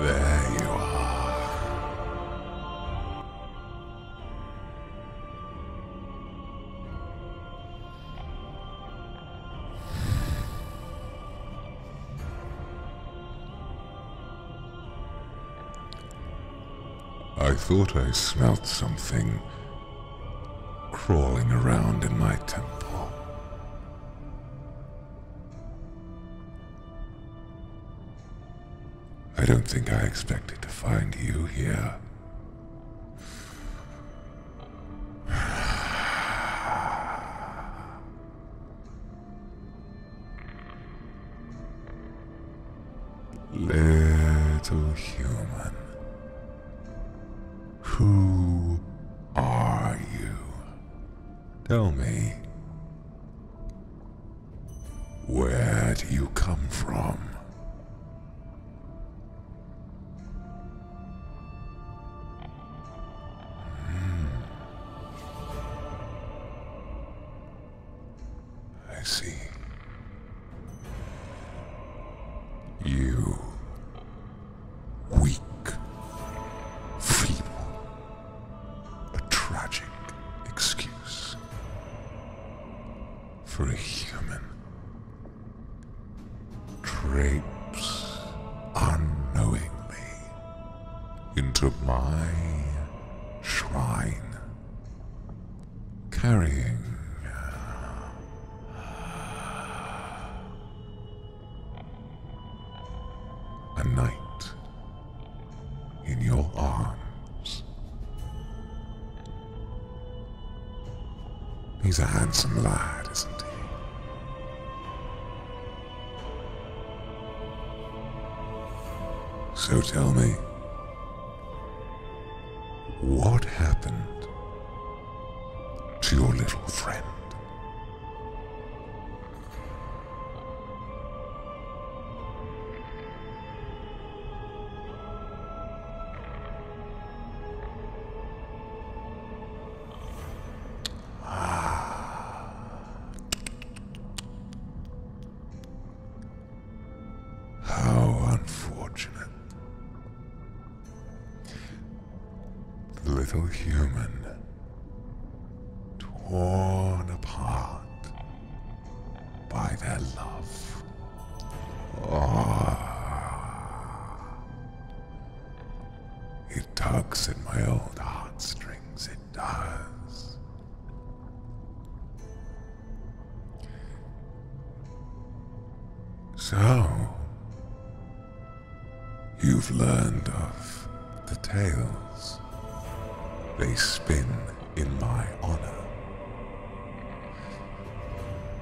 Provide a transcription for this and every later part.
There you are. I thought I smelt something crawling around in my temple. I don't think I expected to find you here. Little human. Who are you? Tell me. Where do you come from? Hmm. I see. You weak, feeble, a tragic excuse for a human drapes unknowingly into my shrine carrying. A knight in your arms. He's a handsome lad, isn't he? So tell me, what happened to your little friend? Ah. How unfortunate. The little human, torn apart by their love. Oh. It tugs at my old heartstrings, it does. So, you've learned of the tales they spin in my honor.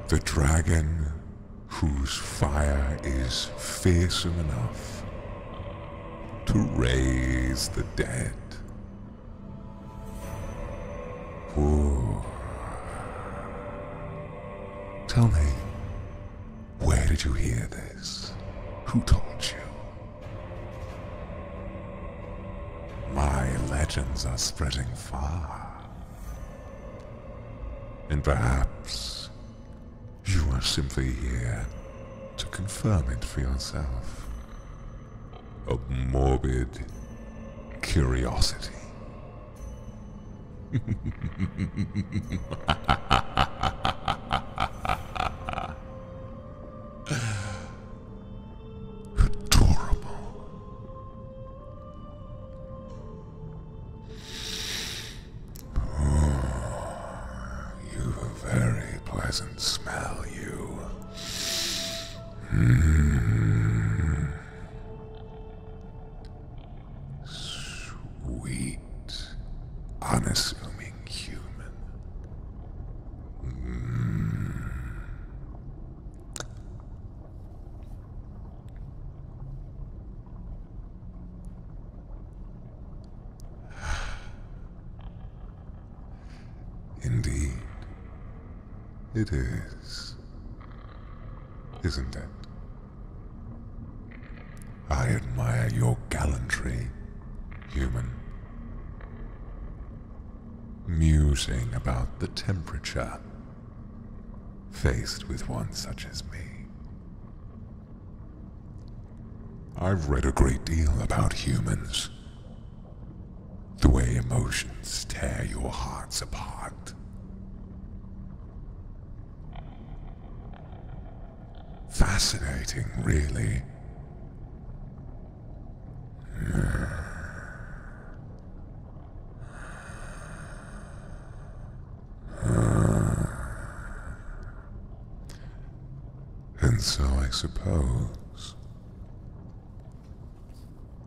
The dragon whose fire is fearsome enough to raise the dead Tell me, where did you hear this? Who told you? My legends are spreading far. And perhaps you are simply here to confirm it for yourself. Of morbid curiosity. Adorable. Oh, you've a very pleasant smell, you. Sweet, unassuming human. Hmm. Indeed, it is isn't it? I admire your gallantry, human. Musing about the temperature, faced with one such as me. I've read a great deal about humans the way emotions tear your hearts apart. Fascinating, really. And so I suppose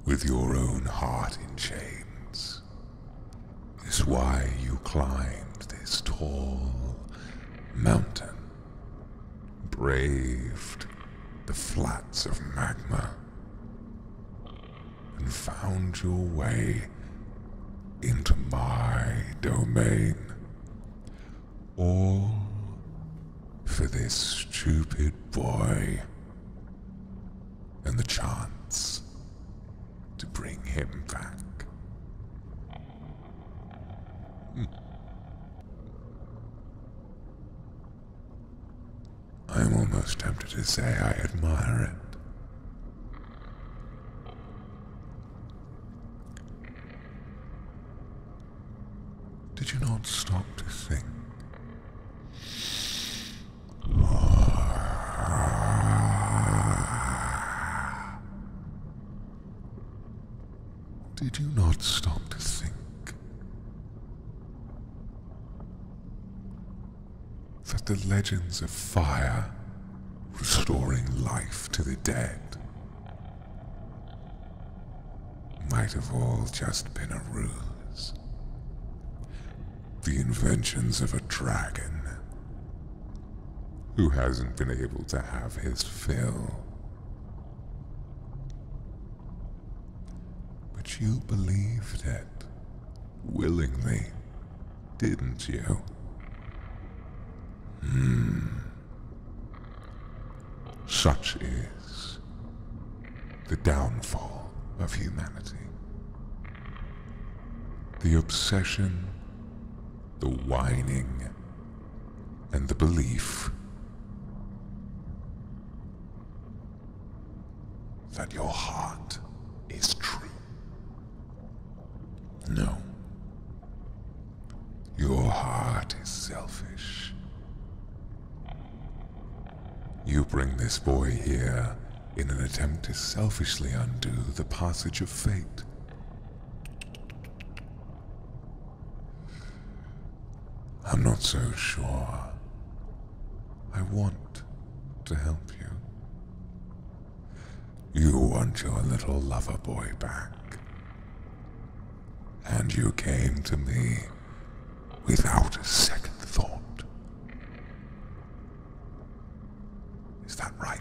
with your own heart in chains, is why you climbed this tall mountain, braved the flats of magma, and found your way into my domain. All for this stupid boy and the chance to bring him back. Hmm. I'm almost tempted to say I admire it. Did you not stop to think did you not stop to think that the legends of fire restoring life to the dead might have all just been a ruse? the inventions of a dragon who hasn't been able to have his fill. But you believed it willingly, didn't you? Hmm. Such is the downfall of humanity. The obsession, the whining, and the belief that your heart is true. No. Your heart is selfish. You bring this boy here in an attempt to selfishly undo the passage of fate. I'm not so sure. I want to help you. You want your little lover boy back. And you came to me without a second thought. Is that right?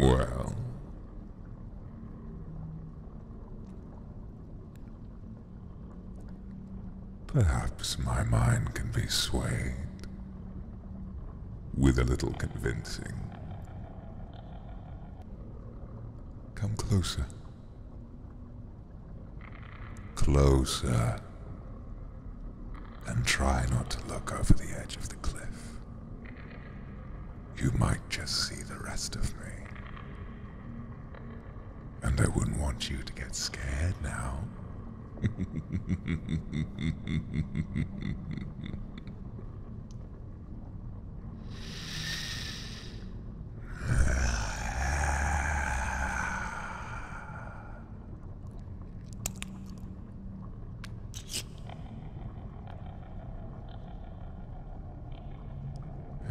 Well... Perhaps my mind can be swayed with a little convincing. Come closer. Closer. And try not to look over the edge of the cliff. You might just see the rest of me. And I wouldn't want you to get scared now.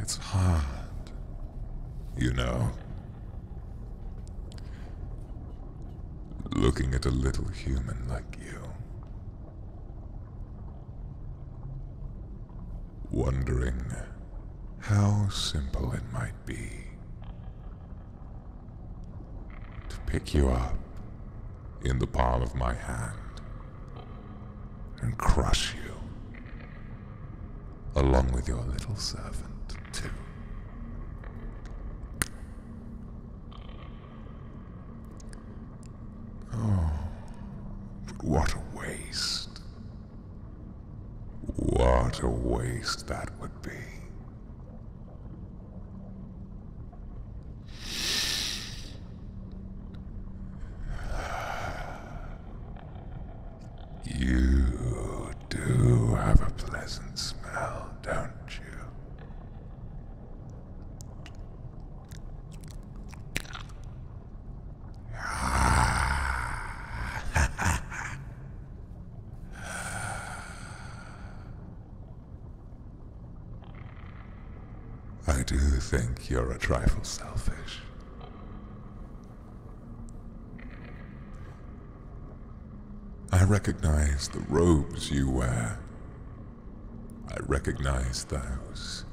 It's hard, you know looking at a little human like you. Wondering how simple it might be to pick you up in the palm of my hand and crush you, along with your little servant, too. Oh, but what a waste. What a waste that would be. You do have a pleasant smell, don't you? I do think you're a trifle selfish. I recognize the robes you wear I recognize those.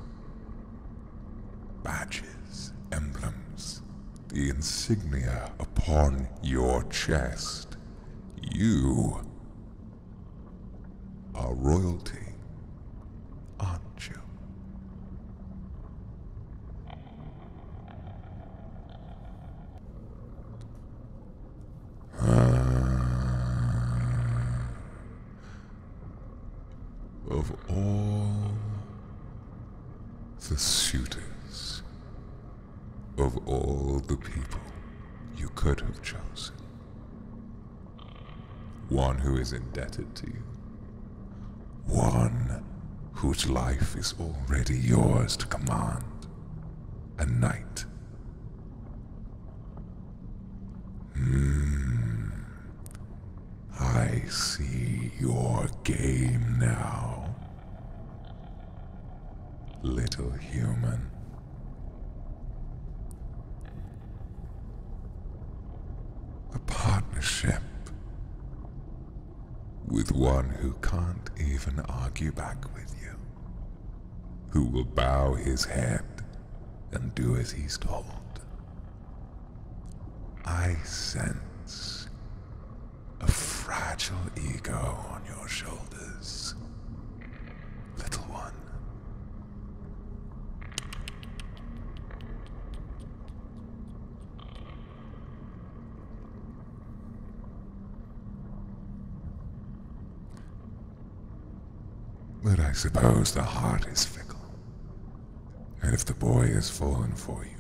Badges, emblems, the insignia upon your chest. You are royalty, aren't you? Uh, of all the suitors, of all the people you could have chosen, one who is indebted to you, one whose life is already yours to command, a knight Mm. I see your game now, little human. A partnership with one who can't even argue back with you who will bow his head and do as he's told. I sense a fragile ego on your shoulders, little one. But I suppose the heart is fickle. And if the boy has fallen for you,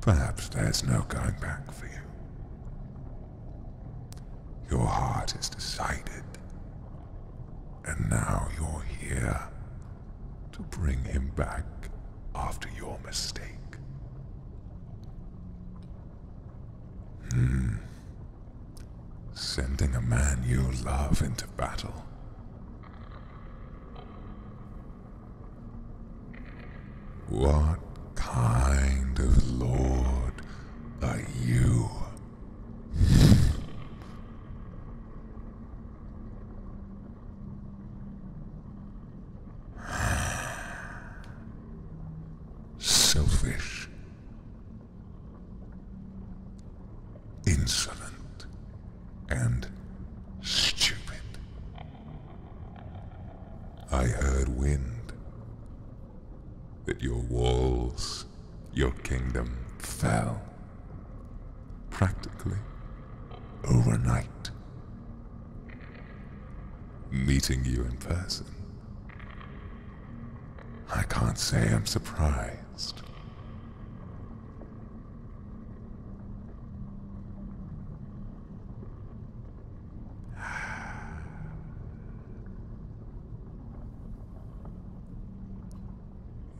perhaps there's no going back for you. Your heart is decided, and now you're here to bring him back after your mistake. Hmm. Sending a man you love into battle. What kind of lord are you? Selfish. Insolent. And stupid. I heard wind that your walls, your kingdom fell practically overnight. Meeting you in person, I can't say I'm surprised.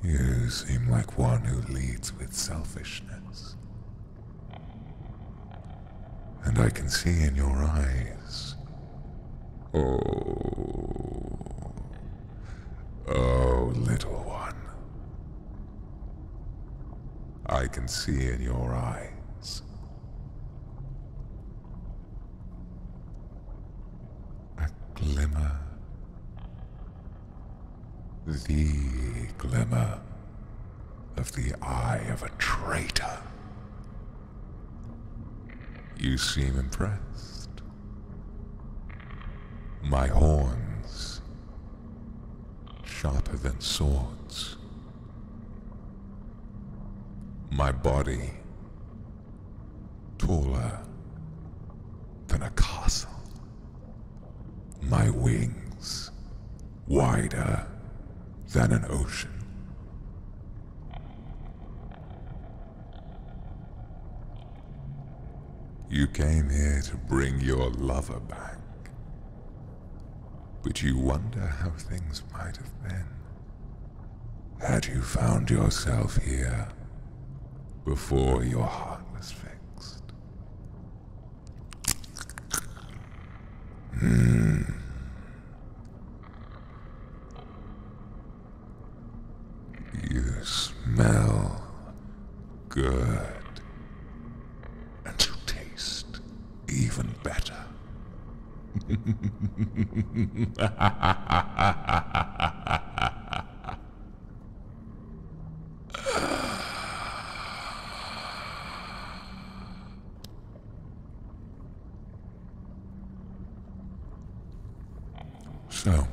You seem like one who leads with selfishness. And I can see in your eyes. Oh. Oh, little one. I can see in your eyes. A glimmer the glimmer of the eye of a traitor. You seem impressed. My horns, sharper than swords. My body, taller than a castle. My wings wider than an ocean. You came here to bring your lover back. But you wonder how things might have been. Had you found yourself here before your heart was fixed? Hmm. You smell good. And you taste even better. So,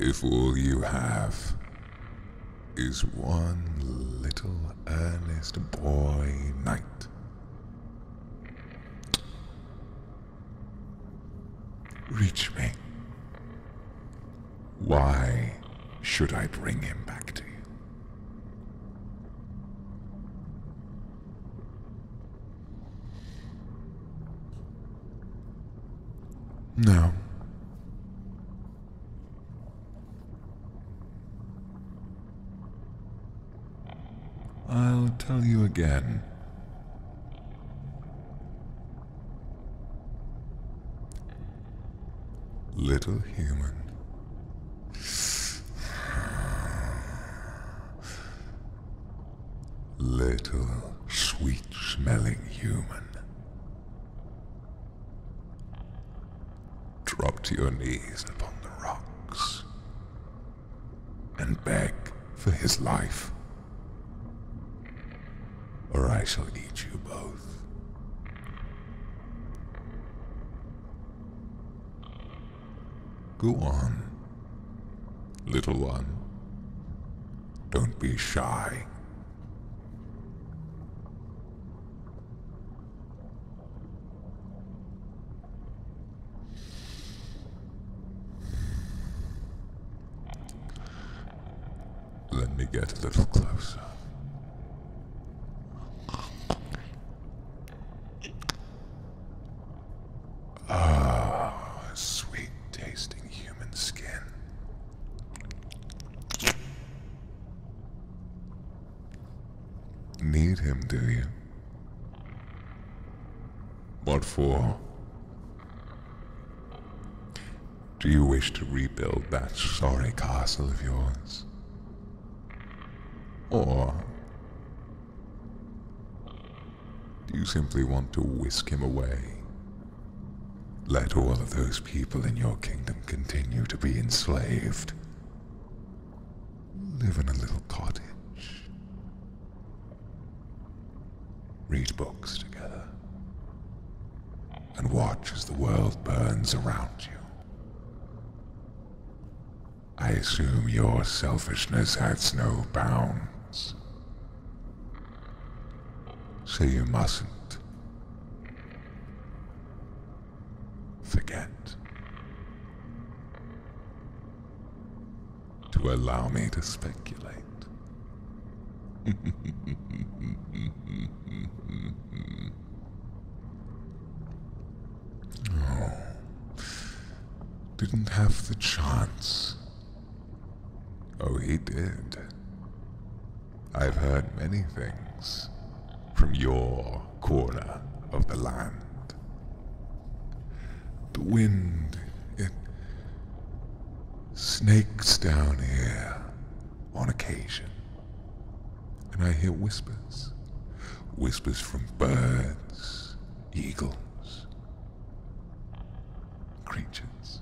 if all you have is one little earnest boy knight, Reach me. Why should I bring him back to you? No. I'll tell you again Little human. Little sweet smelling human. Drop to your knees upon the rocks and beg for his life, or I shall eat you both. Go on, little one. Don't be shy. Let me get a little closer. Ah, sweet tasting human skin. Need him, do you? What for? Do you wish to rebuild that sorry castle of yours? Or do you simply want to whisk him away? Let all of those people in your kingdom continue to be enslaved. Live in a little cottage read books together, and watch as the world burns around you. I assume your selfishness has no bounds. So you mustn't forget to allow me to speculate. oh, didn't have the chance. Oh, he did. I've heard many things from your corner of the land. The wind, it snakes down here on occasion. And I hear whispers. Whispers from birds, eagles, creatures.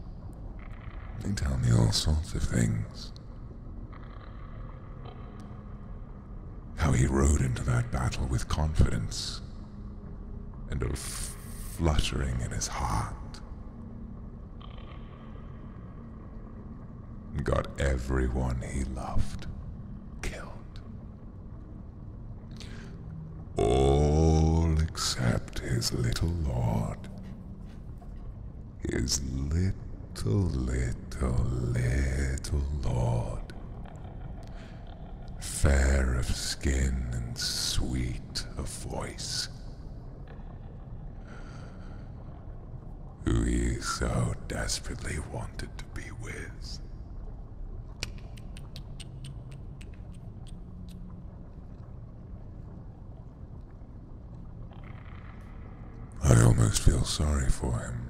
They tell me all sorts of things. How he rode into that battle with confidence and a fluttering in his heart. And got everyone he loved killed. All except his little lord. His little, little, little lord fair of skin and sweet of voice, who he so desperately wanted to be with. I almost feel sorry for him.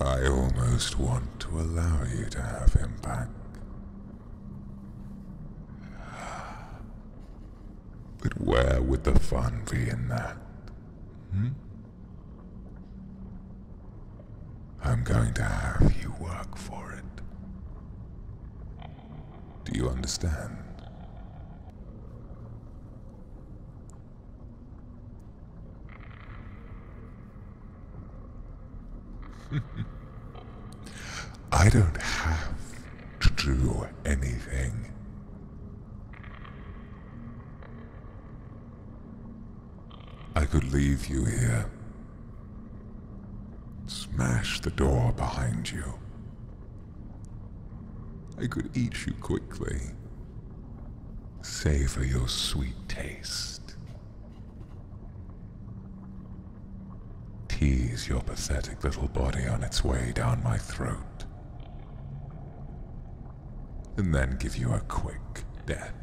I almost want to allow you to have him back. But where would the fun be in that? Hmm? I'm going to have you work for it. Do you understand? I don't have to do anything. I could leave you here. Smash the door behind you I could eat you quickly. Savor your sweet taste. Tease your pathetic little body on its way down my throat. And then give you a quick death.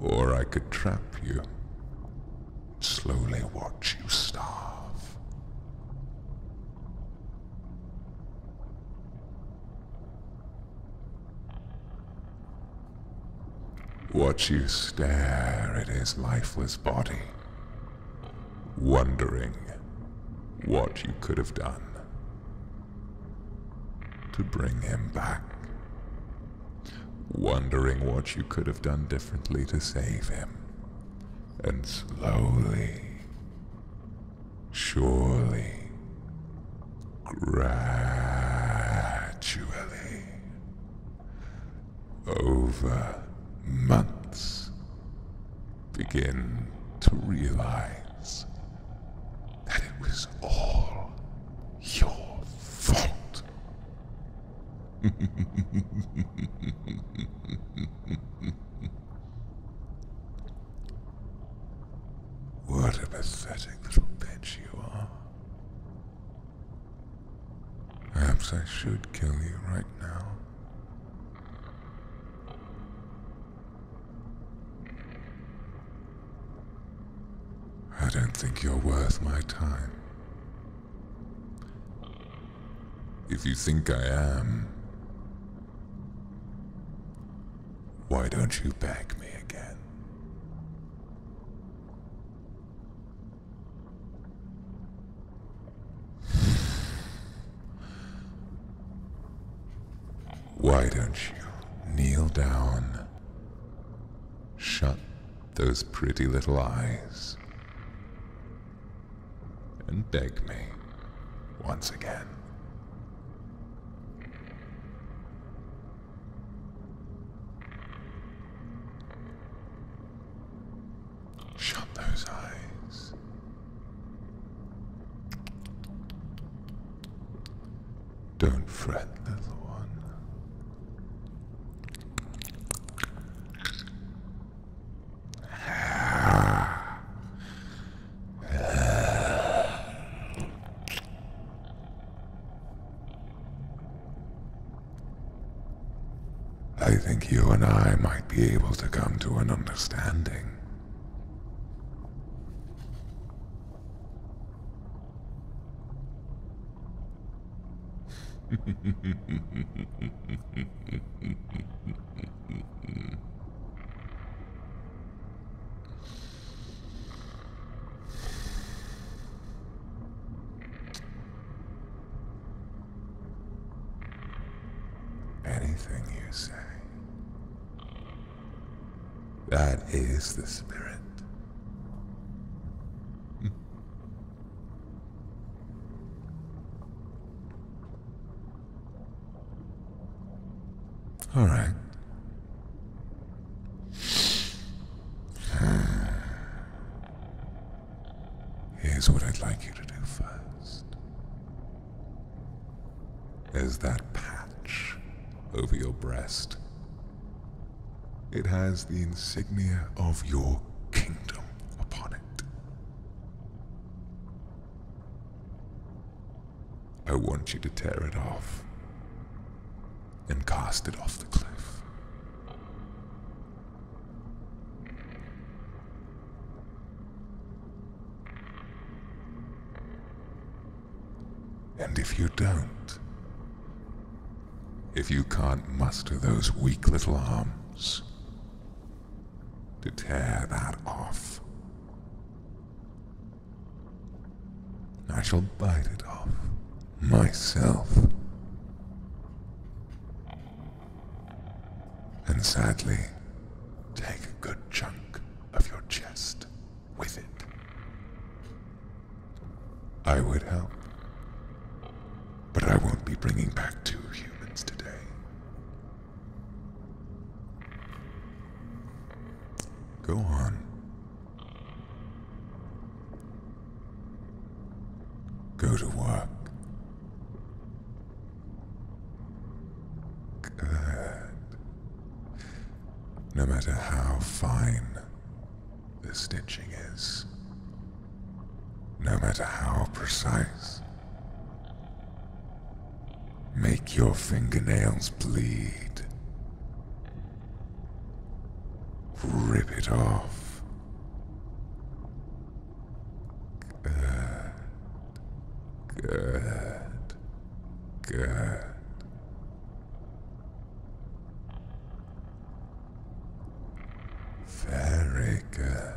Or I could trap you slowly watch you starve. Watch you stare at his lifeless body, wondering what you could have done to bring him back wondering what you could have done differently to save him. And slowly, surely, gradually, over months, begin to realize that it was all your fault. what a pathetic little bitch you are. Perhaps I should kill you right now. I don't think you're worth my time. If you think I am, why don't you back me again? Why don't you kneel down, shut those pretty little eyes and beg me once again. Shut those eyes. Don't fret, little one. I think you and I might be able to come to an understanding. Anything you say. That is the spirit. All right. Here's what I'd like you to do first. Is that patch over your breast. It has the insignia of your kingdom upon it. I want you to tear it off and cast it off the cliff. And if you don't, if you can't muster those weak little arms to tear that off, I shall bite it off myself. And sadly, take a good chunk of your chest with it. I would help. But I won't be bringing back two humans today. Go on. Go to work. No matter how fine the stitching is. No matter how precise. Make your fingernails bleed. Rip it off. Good. Good. Good. Very good.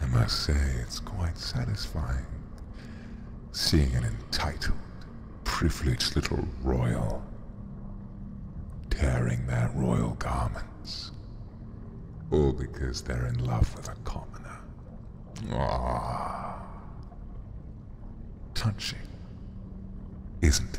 I must say, it's quite satisfying seeing an entitled, privileged little royal tearing their royal garments, all because they're in love with a commoner. Ah, touching, isn't it?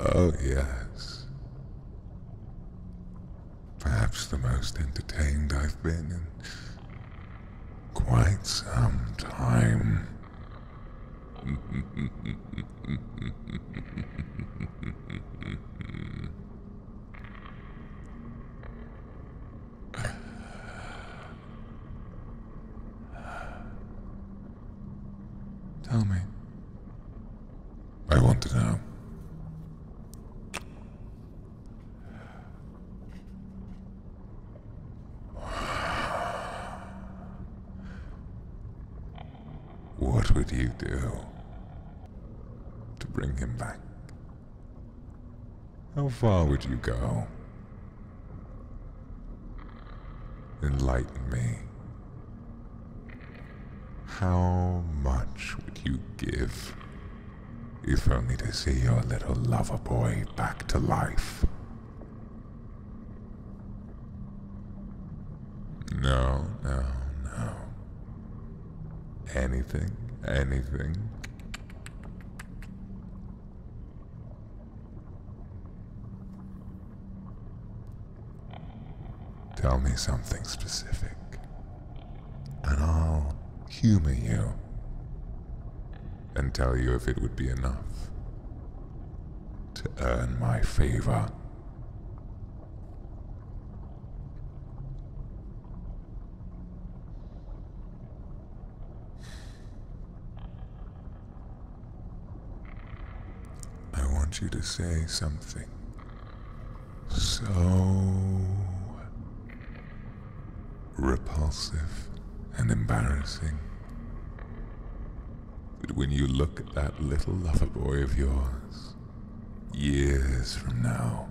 Oh, yes. Perhaps the most entertained I've been in quite some time. Tell me. I want to know. What would you do to bring him back? How far would you go? Enlighten me. How much would you give if only to see your little lover boy back to life. No, no, no. Anything, anything. Tell me something specific and I'll humor you and tell you if it would be enough to earn my favor. I want you to say something so repulsive and embarrassing that when you look at that little lover boy of yours, years from now,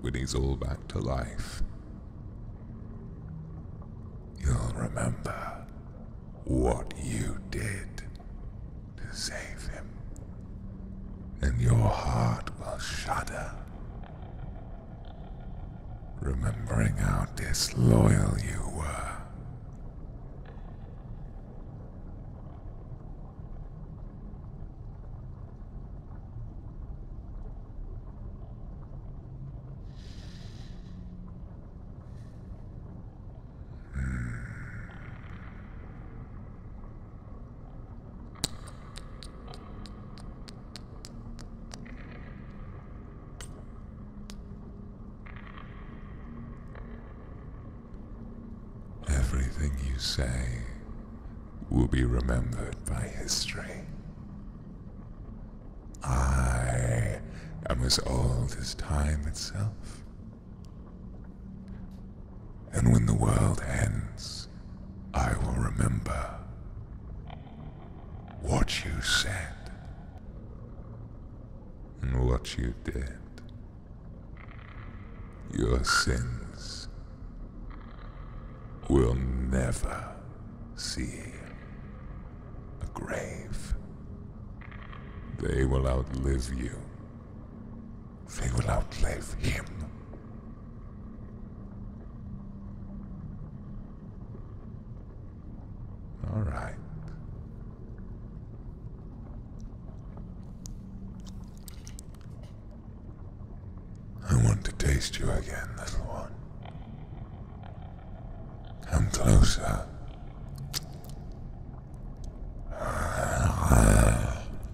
when he's all back to life, you'll remember what you did to save him and your heart will shudder, remembering how disloyal you were. Hmm. Everything you say will be remembered by history. I am as old as time itself. And when the world ends, I will remember what you said and what you did. Your sins will never see a grave. They will outlive you they will outlive him. All right. I want to taste you again, little one. Come closer.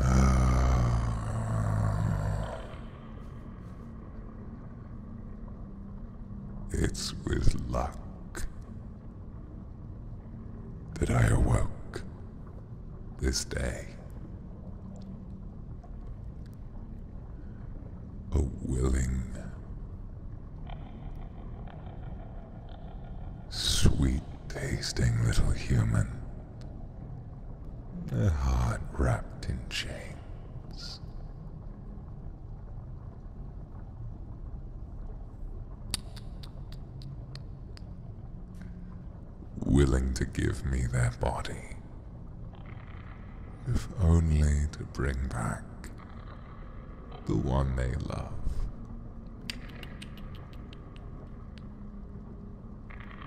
Ah. It's with luck that I awoke this day. A willing, sweet tasting little human a heart wrapped in chains. Willing to give me their body, if only to bring back the one they love.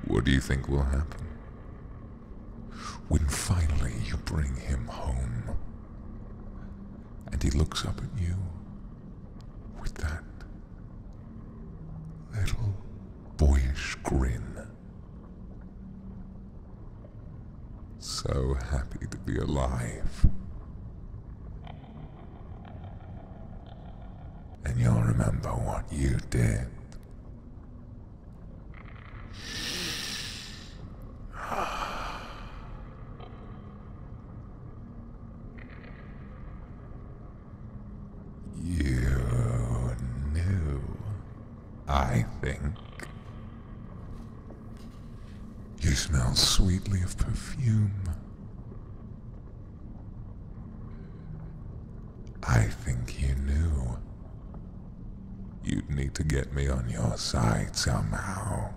What do you think will happen? When finally you bring him home, and he looks up at you with that little boyish grin. So happy to be alive. And you'll remember what you did. You knew, I think. You smell sweetly of perfume. I think you knew. You'd need to get me on your side somehow.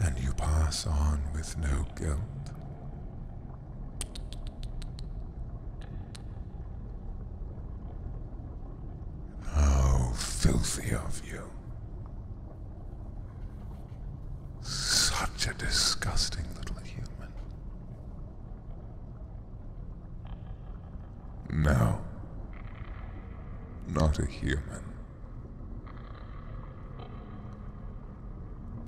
And you pass on with no guilt. How filthy of you. Such a disgusting little human. Now, Not a human.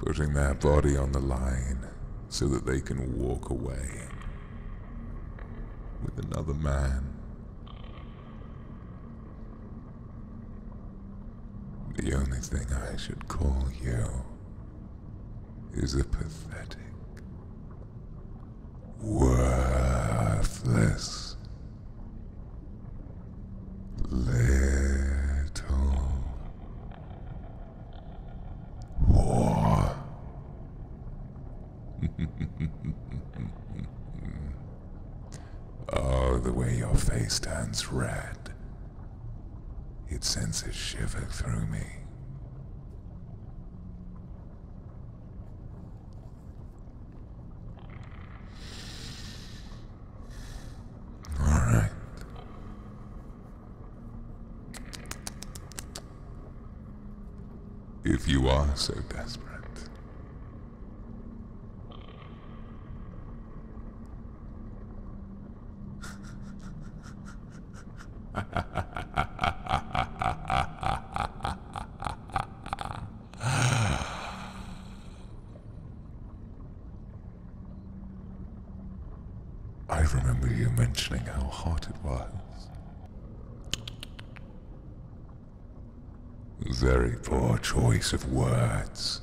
Putting their body on the line so that they can walk away with another man the only thing I should call you is a pathetic, worthless little war. Oh, the way your face turns red. It sends a shiver through me. All right. If you are so desperate, I remember you mentioning how hot it was. Very poor choice of words.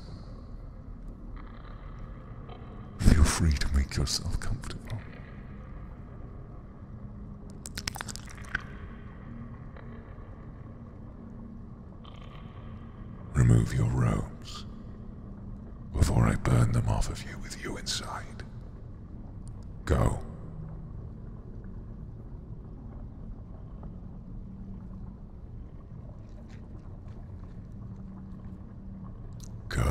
Feel free to make yourself comfortable. Remove your robes before I burn them off of you with you inside. Go. Go.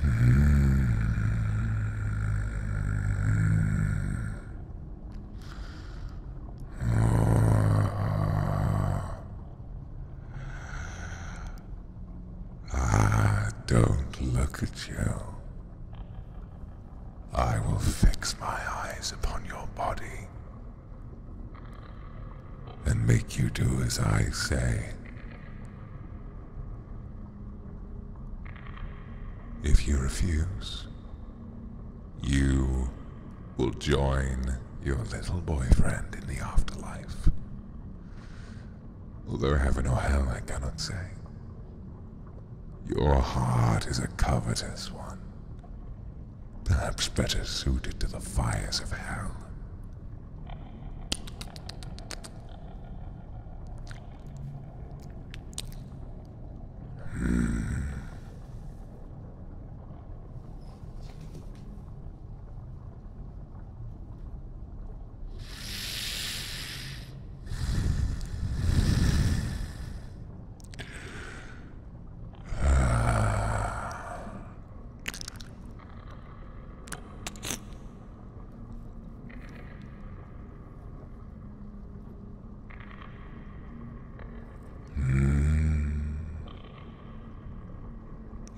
Hmm. I don't look at you. I will fix my eyes upon your body and make you do as I say. If you refuse, you will join your little boyfriend in the afterlife whether heaven or hell I cannot say. Your heart is a covetous one, perhaps better suited to the fires of hell.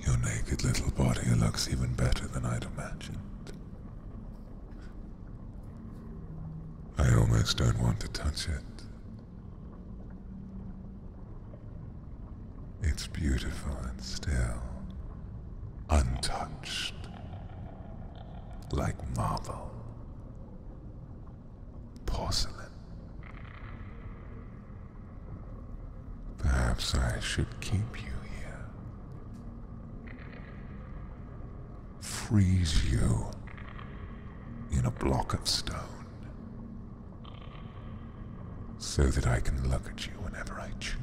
Your naked little body looks even better than I'd imagined. I almost don't want to touch it. It's beautiful and still, untouched, like marble, porcelain. Perhaps I should keep you here freeze you in a block of stone so that I can look at you whenever I choose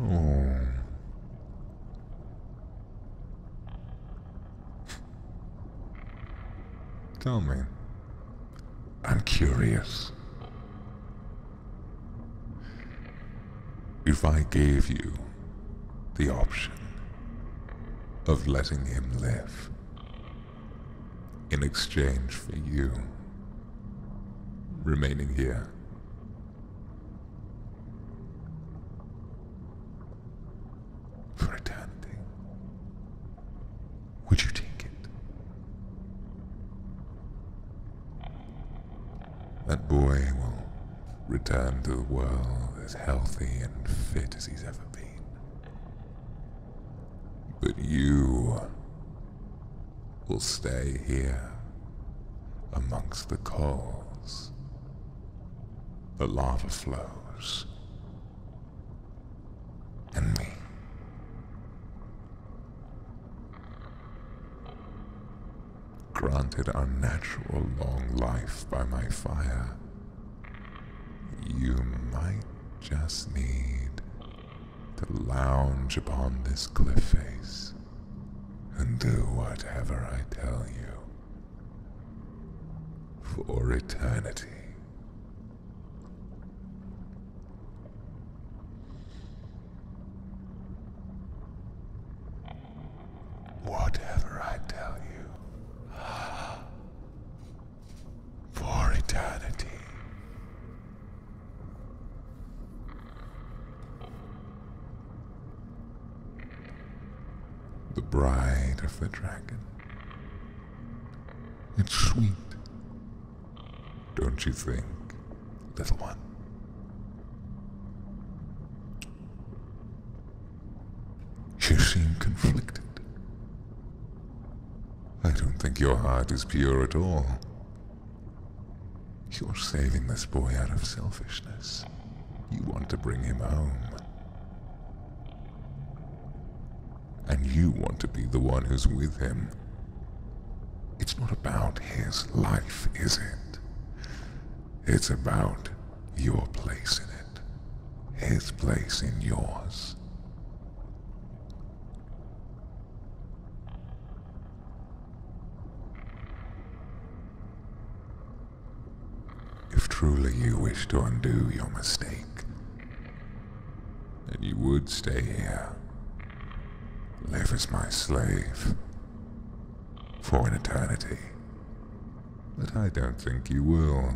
oh. Tell me, I'm curious. If I gave you the option of letting him live in exchange for you remaining here. For would you take it? That boy will return to the world as healthy and fit as he's ever been. But you will stay here amongst the coals. The lava flows and me. Granted unnatural long life by my fire, you might just need to lounge upon this cliff face and do whatever I tell you for eternity. Whatever I tell you, for eternity. The Bride of the Dragon. It's sweet. Don't you think, little one? You seem conflicted. I don't think your heart is pure at all. You're saving this boy out of selfishness. You want to bring him home. And you want to be the one who's with him. It's not about his life, is it? It's about your place in it. His place in yours. If truly you wish to undo your mistake, and you would stay here, live as my slave, for an eternity. But I don't think you will.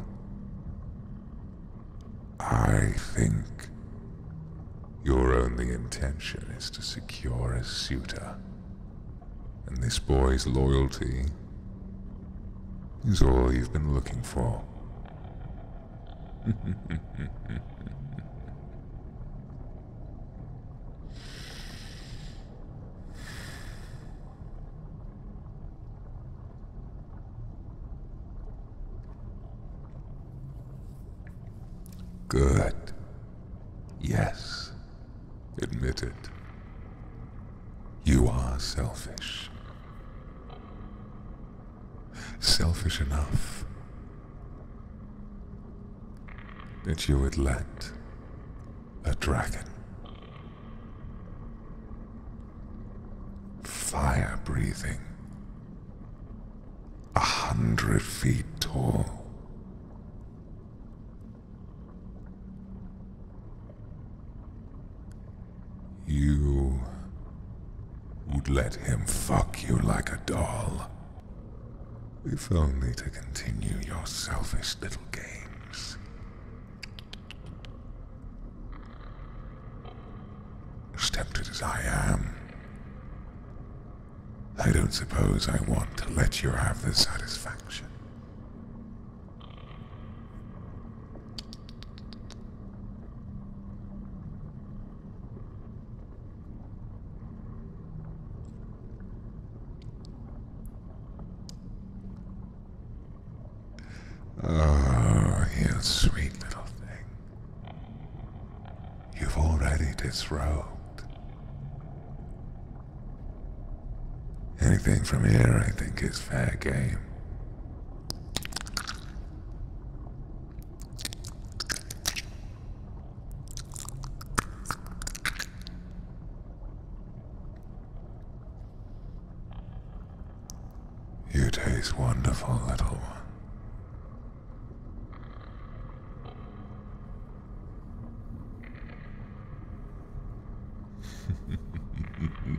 I think your only intention is to secure a suitor, and this boy's loyalty is all you've been looking for. Good. Yes. Admit it. You are selfish selfish enough that you would let a dragon fire breathing, a hundred feet tall. You would let him fuck you like a doll. If only to continue your selfish little games. As as I am, I don't suppose I want to let you have the satisfaction. Oh, you sweet little thing. You've already disrobed. Anything from here, I think, is fair game. You taste wonderful, little one.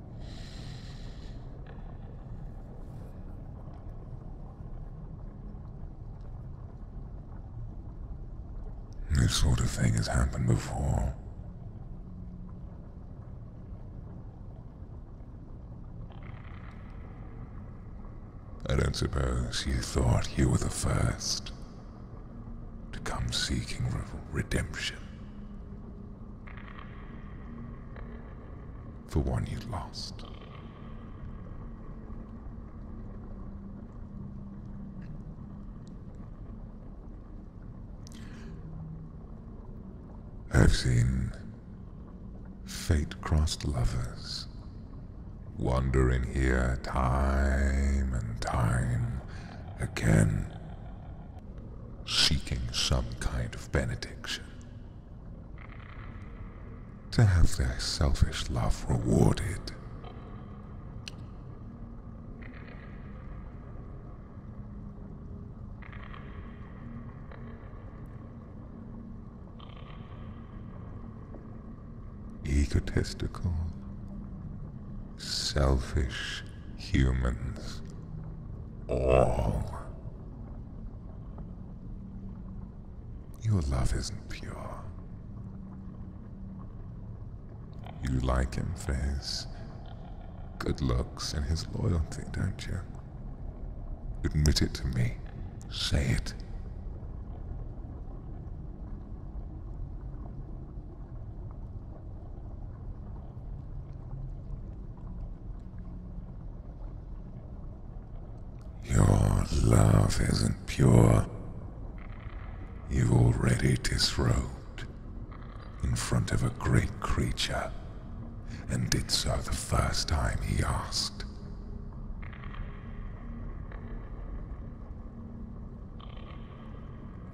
This sort of thing has happened before. I don't suppose you thought you were the first to come seeking redemption for one you'd lost. I've seen fate-crossed lovers wander in here time and time again seeking some kind of benediction. To have their selfish love rewarded. Egotistical, selfish, humans. All. Your love isn't pure. You like him for his good looks and his loyalty, don't you? Admit it to me. Say it. Your love isn't pure. You've already disrobed in front of a great creature, and did so the first time he asked.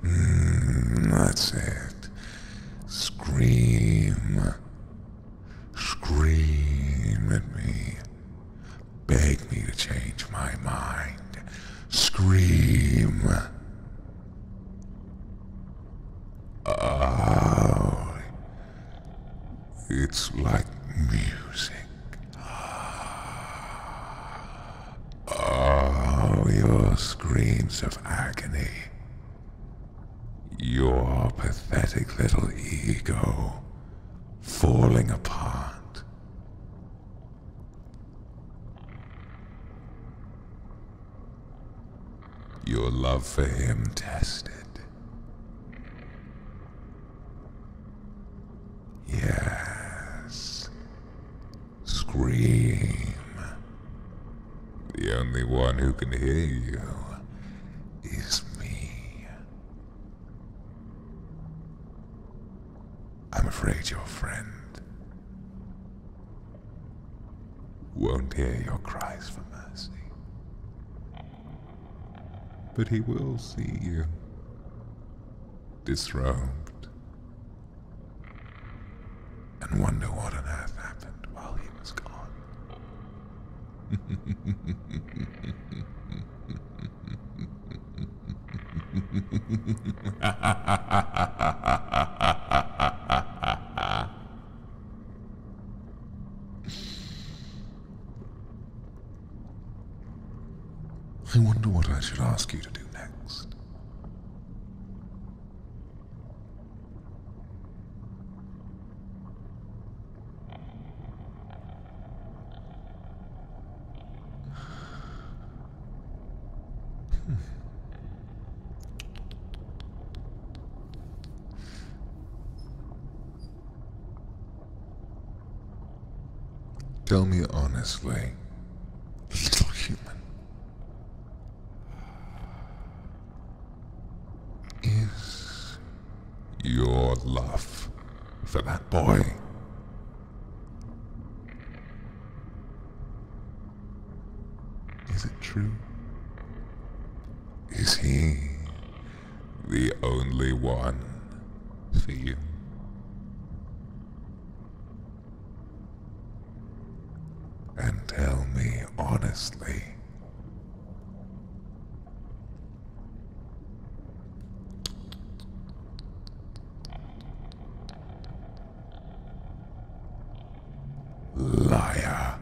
Hmm, that's it. Scream. Scream at me. Beg me to change my mind. Scream. Oh, it's like music. Oh, your screams of agony your pathetic little ego falling apart. Your love for him tested. Yes. Scream. The only one who can hear you is me. I'm afraid your friend won't hear your cries for mercy. But he will see you disrobed and wonder what on earth happened while he was gone. I wonder what I should ask you to do next. Tell me honestly, this is human is your love for that boy. Is it true? Is he the only one for you? and tell me honestly. Liar.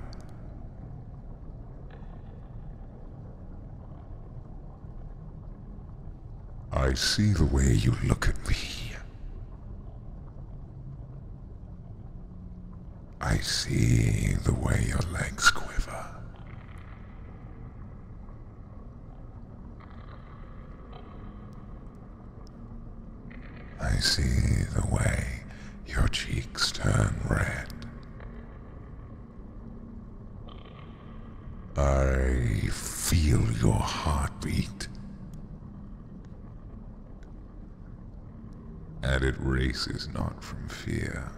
I see the way you look at me. I see the way your legs quiver. I see the way your cheeks turn red. I feel your heartbeat. And it races not from fear.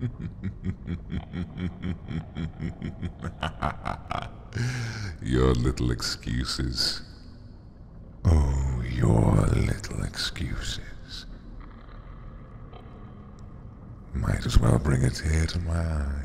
your little excuses. Oh, your little excuses. Might as well bring a tear to my eye.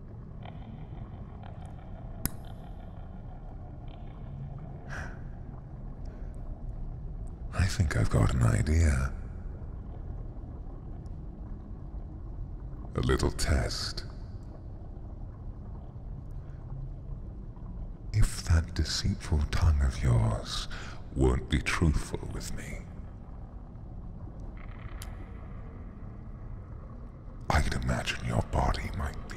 I think I've got an idea. A little test. If that deceitful tongue of yours won't be truthful with me, I can imagine your body might be.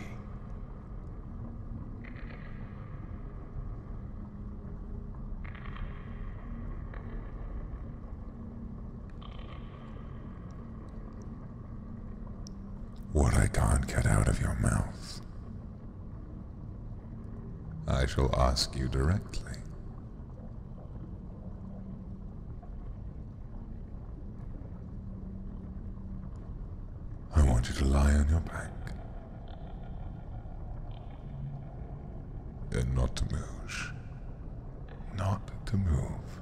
What I can't get out of your mouth, I shall ask you directly. I want you to lie on your back and not to move. Not to move.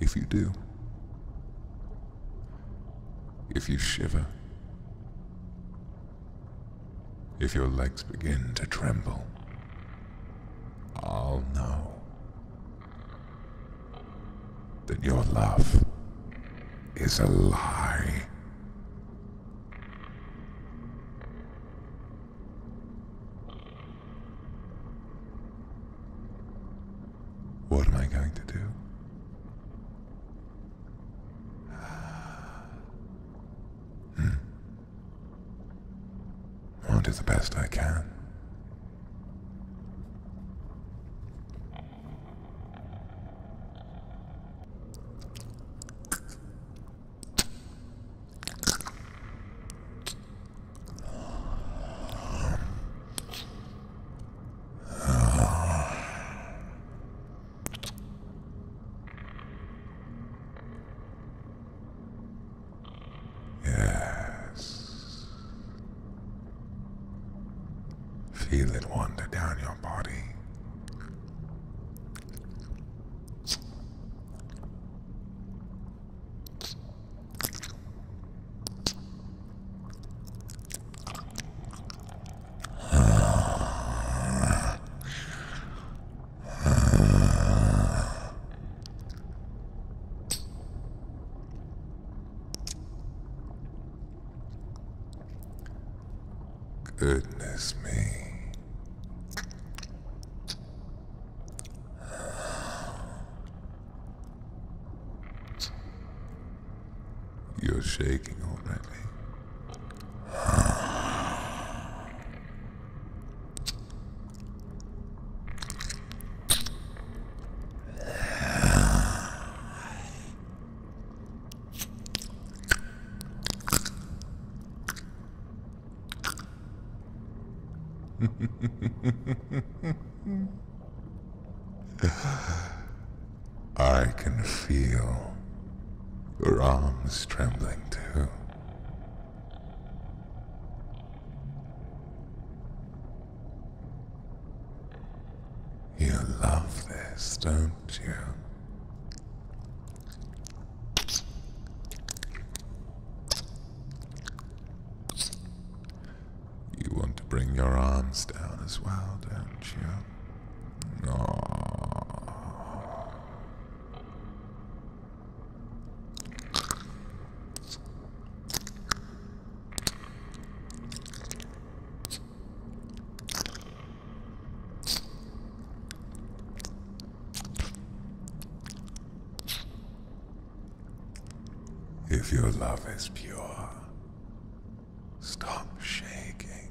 If you do, if you shiver, if your legs begin to tremble, I'll know that your love is a lie. What am I going to do? Hmm. I'll do the best I can. Yes. Feel it wander down your body. Goodness me. You're shaking already. I can feel your arms trembling too. You love this, don't you? You want to bring your arms down as well, don't you? Aww. If your love is pure, stop shaking.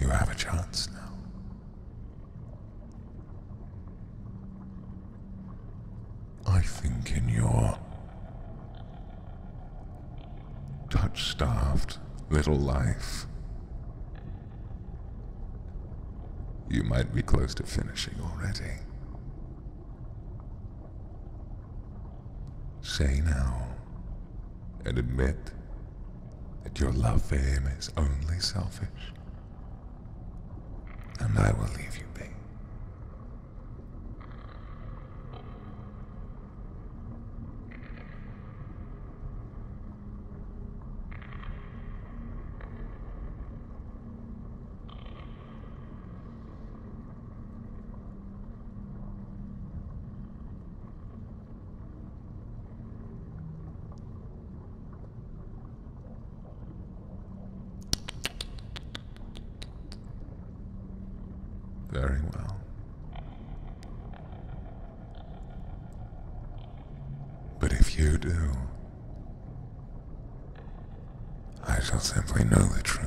You have a chance now. I think in your touch starved little life, you might be close to finishing already. Say now and admit that your love for him is only selfish. And I will leave you be. Very well. But if you do, I shall simply know the truth.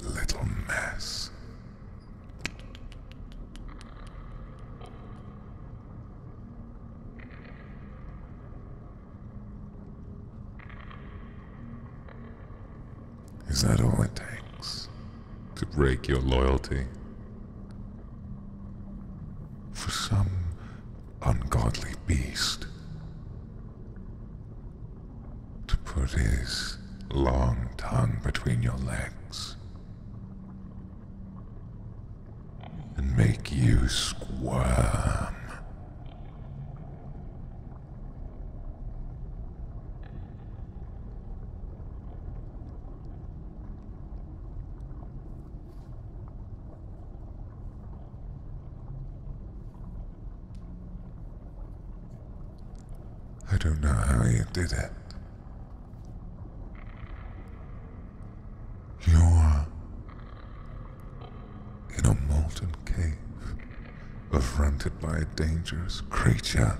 little mess. Is that all it takes? To break your loyalty? For some ungodly beast to put his long tongue between your legs and make you squirm. I don't know how you did it. You are in a molten cave, affronted by a dangerous creature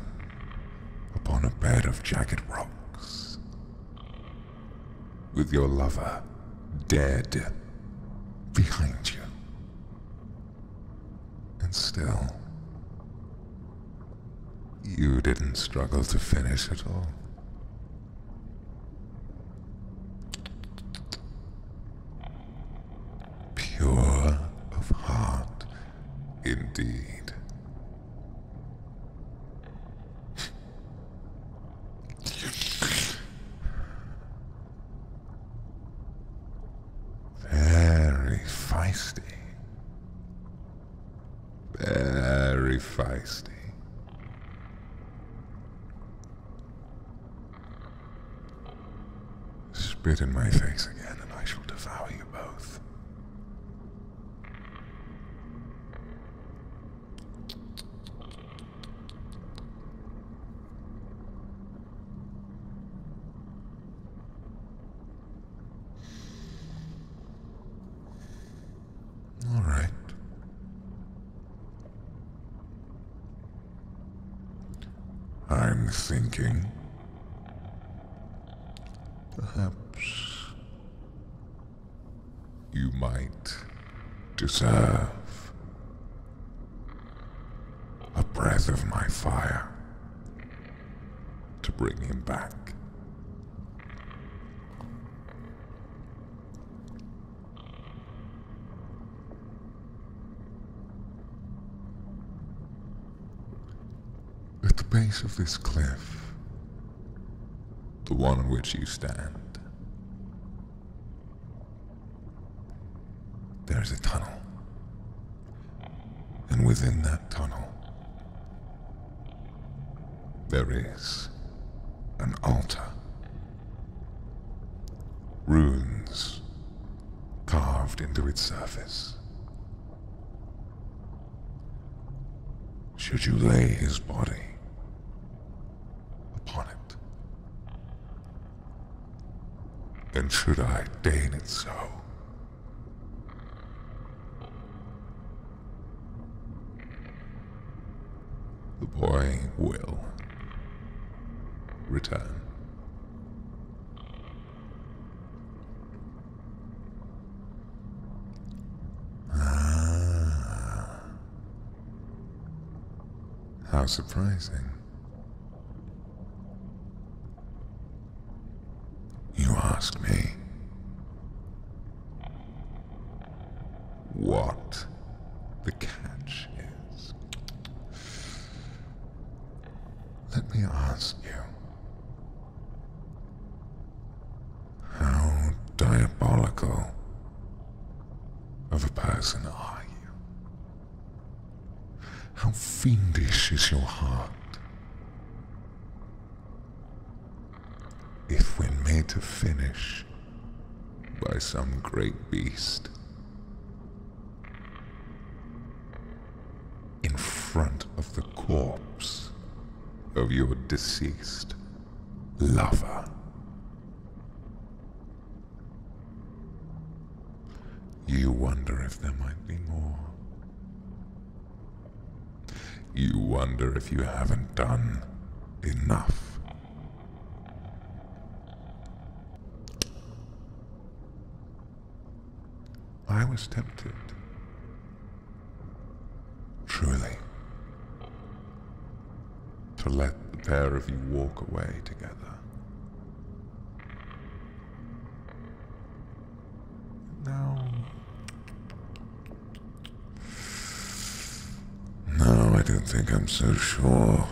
upon a bed of jagged rocks, with your lover dead behind you. And still, you didn't struggle to finish at all. Pure of heart, indeed. Very feisty. Very feisty. Spit in my face again and I shall devour you both. All right. I'm thinking. Perhaps you might deserve a breath of my fire to bring him back. At the base of this cliff, the one on which you stand, there's a tunnel. And within that tunnel, there is an altar. Runes carved into its surface. Should you lay his body upon it, and should I deign it so, the boy will return. Ah. How surprising. You ask me. What the catch is. Let me ask you. How diabolical of a person are you? How fiendish is your heart? If when made to finish by some great beast, in front of the corpse of your deceased lover. You wonder if there might be more. You wonder if you haven't done enough. I was tempted. Truly. To let the pair of you walk away together. No. No, I don't think I'm so sure.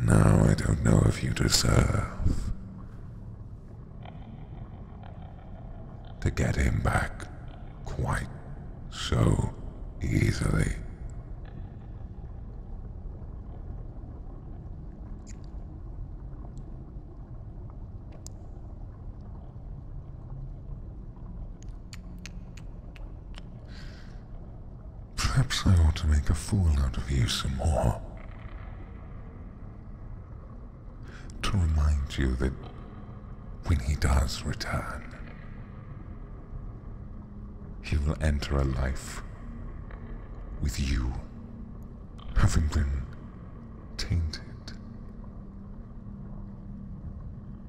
Now I don't know if you deserve to get him back quite so easily. Perhaps I ought to make a fool out of you some more to remind you that when he does return, he will enter a life with you having been tainted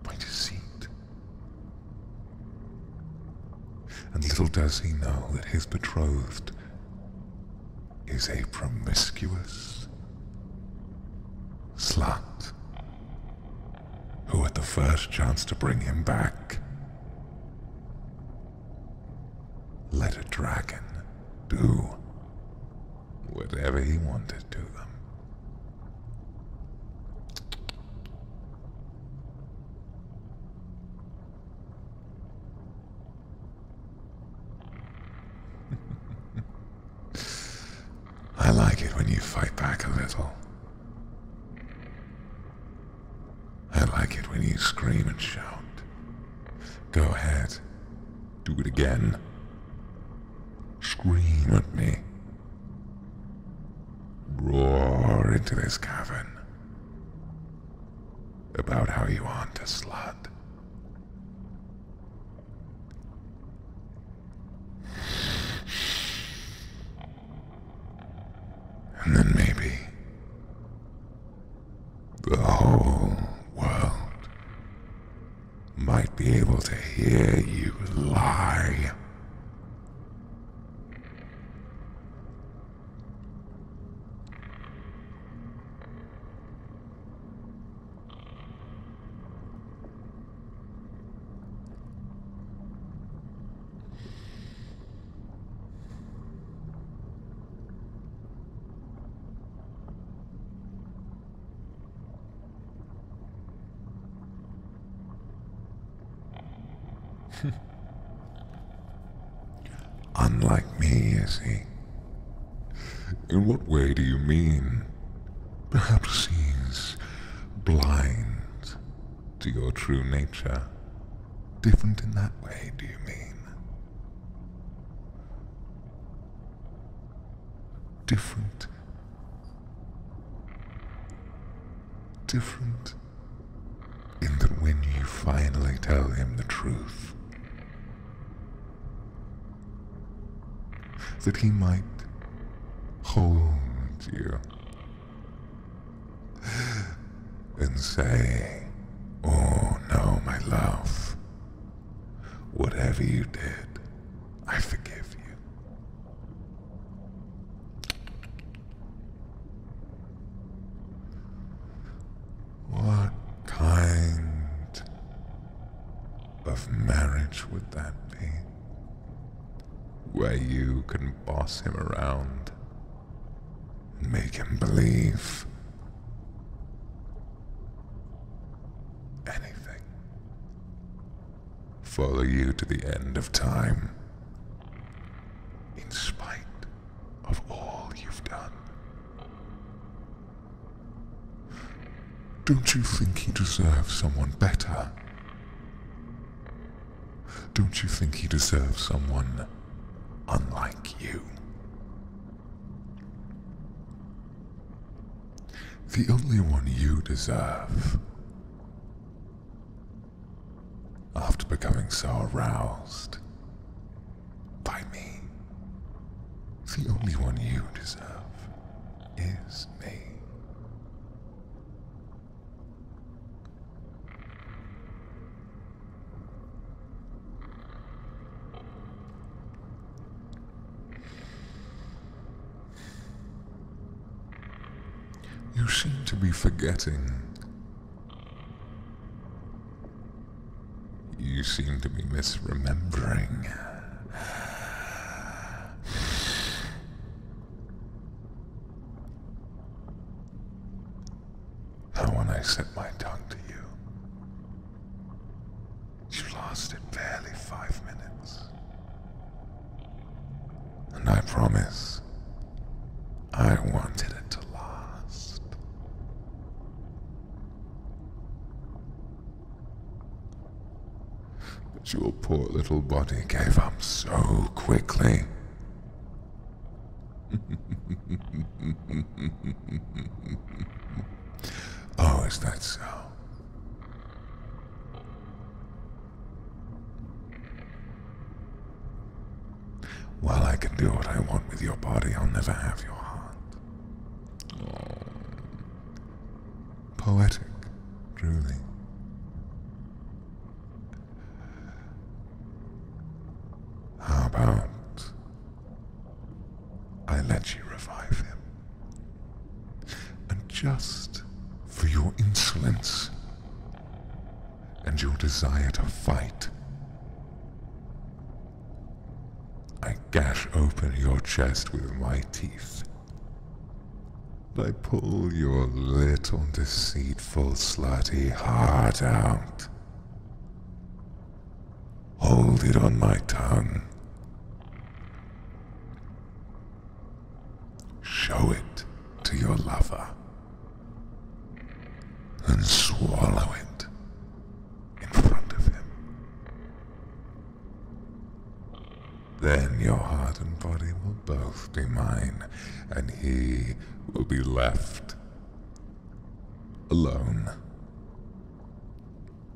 by deceit. And little does he know that his betrothed is a promiscuous Slut. Who had the first chance to bring him back, let a dragon do whatever he wanted to them. I like it when you fight back a little. I like it when you scream and shout. Go ahead. Do it again. Scream at me. Roar into this cavern. About how you aren't a slut. And then maybe the whole world might be able to hear you lie. Unlike me, you see. In what way do you mean? Perhaps he's blind to your true nature. Different in that way, do you mean? Different. Different in that when you finally tell him the truth, that he might hold you and say, Oh no, my love, whatever you did, I forgive you. What kind of marriage would that be? Where you can boss him around and make him believe anything. Follow you to the end of time. In spite of all you've done, don't you think he deserves someone better? Don't you think he deserves someone unlike you? The only one you deserve. After becoming so aroused by me, the only one you deserve is me. You seem to be forgetting. You seem to be misremembering. That when I set my tongue to you, you lost it barely five minutes. And I promise, I wanted it to last. But your poor little body gave up so quickly. oh, is that so? While I can do what I want with your body, I'll never have your heart. Oh poetic drooling. How about I let you revive him? And just for your insolence and your desire to fight, I gash open your chest with my teeth. I pull your little deceitful slutty heart out. Hold it on my tongue. Show it to your lover. And swallow it in front of him. Then your heart and body will both be mine, and he will be left alone.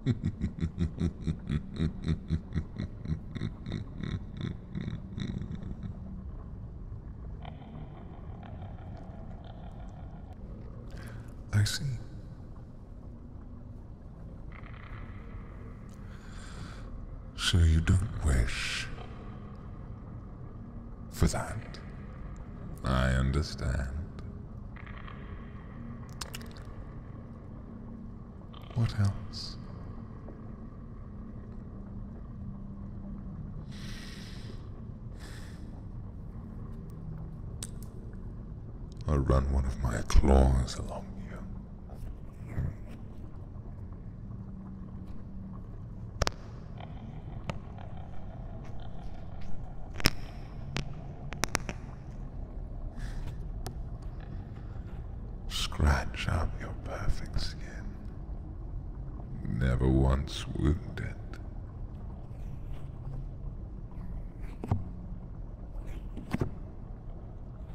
I see. So you don't wish for that. I understand. What else? I'll run one of my claws along you. Scratch up your perfect skin. Never once wounded.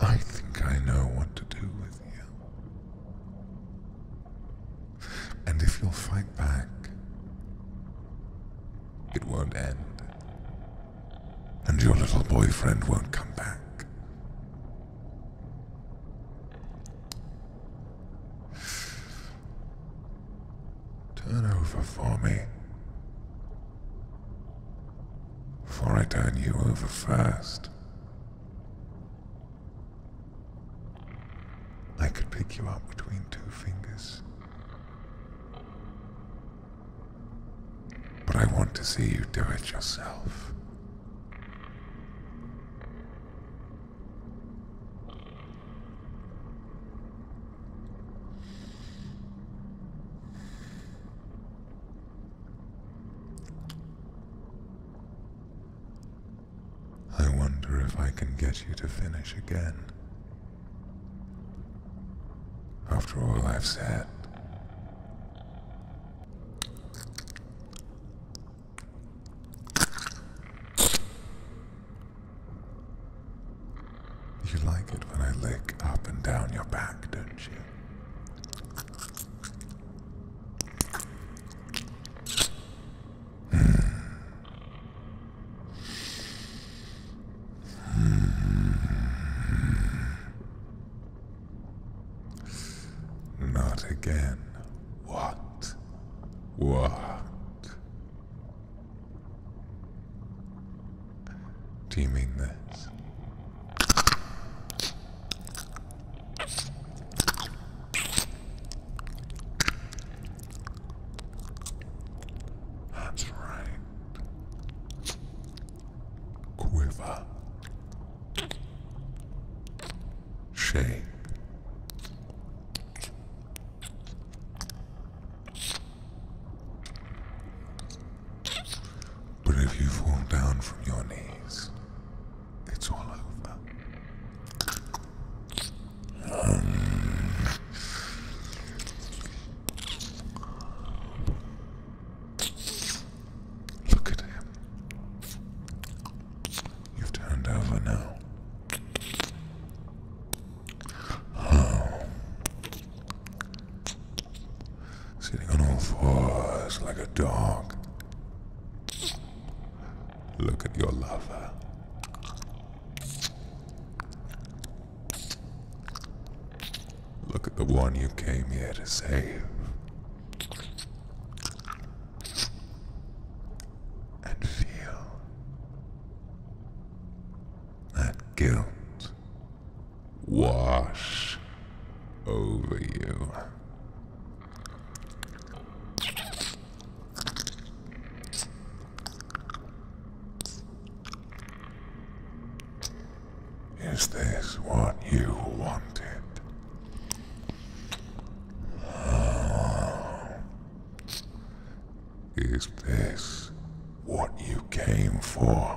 I think I know what to do with you. And if you'll fight back, it won't end. And your little boyfriend won't come back. Turn over for me. Before I turn you over first, I could pick you up between two fingers. But I want to see you do it yourself. I wonder if I can get you to finish again. After all I've said. You like it when I lick up and down your back, don't you? Hmm. Hmm. Not again. What? What? Do you mean this? That's right. Quiver. Shape. But if you fall down from your knees, it's all over. Um, look at him. You've turned over now. Oh sitting on all fours like a dog. Look at your lover. Look at the one you came here to save. And feel that guilt wash over you. Is this what you wanted? Is this what you came for?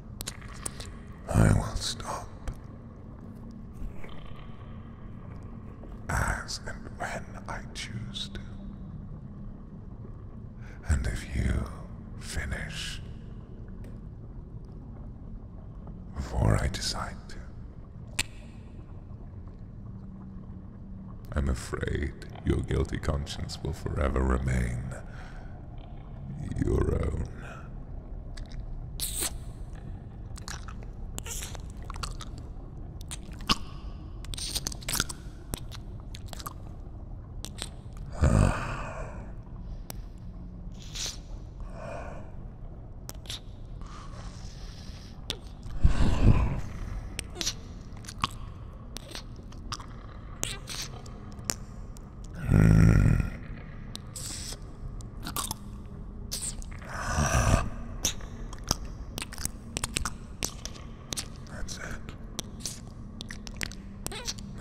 I will stop as and when I choose to. And if you finish before I decide to, I'm afraid your guilty conscience will forever remain your own.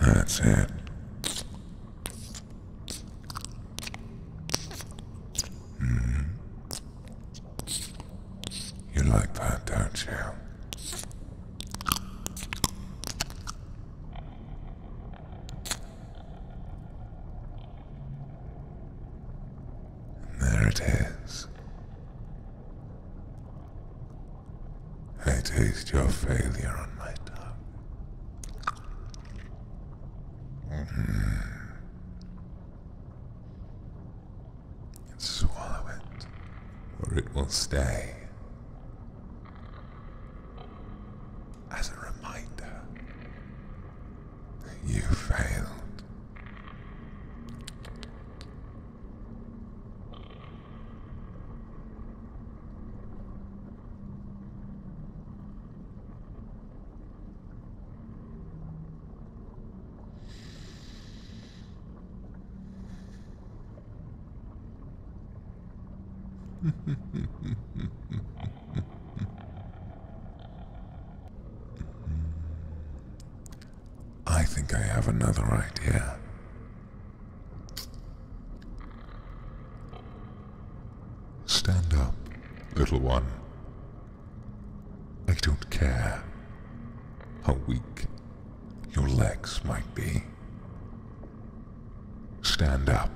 That's it. That's it. Mm. You like that, don't you? There it is. I taste your failure on my tongue. And mm-hmm. swallow it, or it will stay as a reminder. You failed. I think I have another idea. Stand up, little one. I don't care how weak your legs might be. Stand up.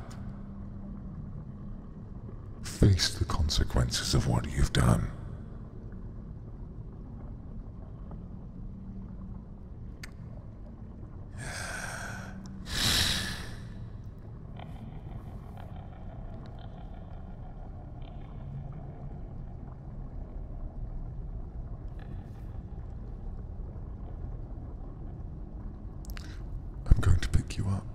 Face the consequences of what you've done. I'm going to pick you up.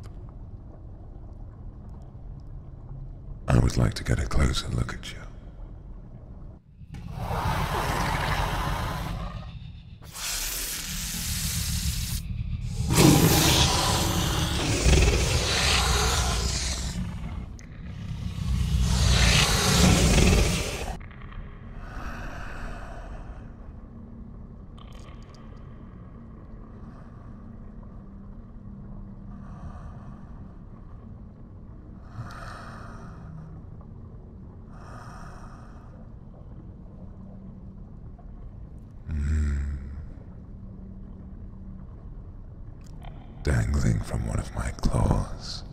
I would like to get a closer look at you dangling from one of my claws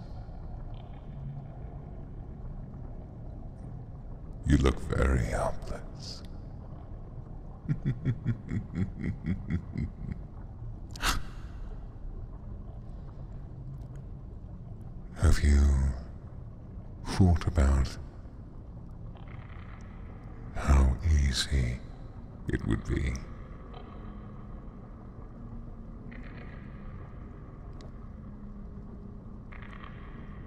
you look very helpless. Have you thought about how easy it would be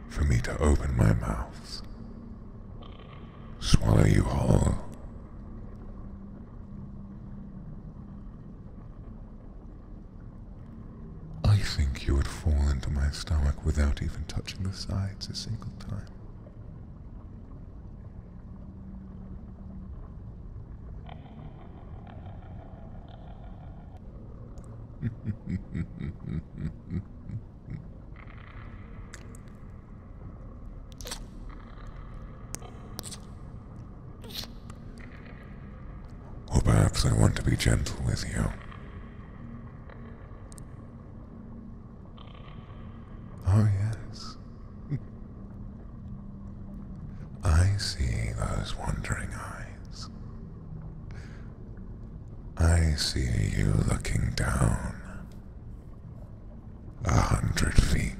for me to open my mouth, swallow you whole. I think you would fall into my stomach without even touching the sides a single time or perhaps I want to be gentle with you. Oh, yes. I see those wandering eyes. I see you looking down. A hundred feet.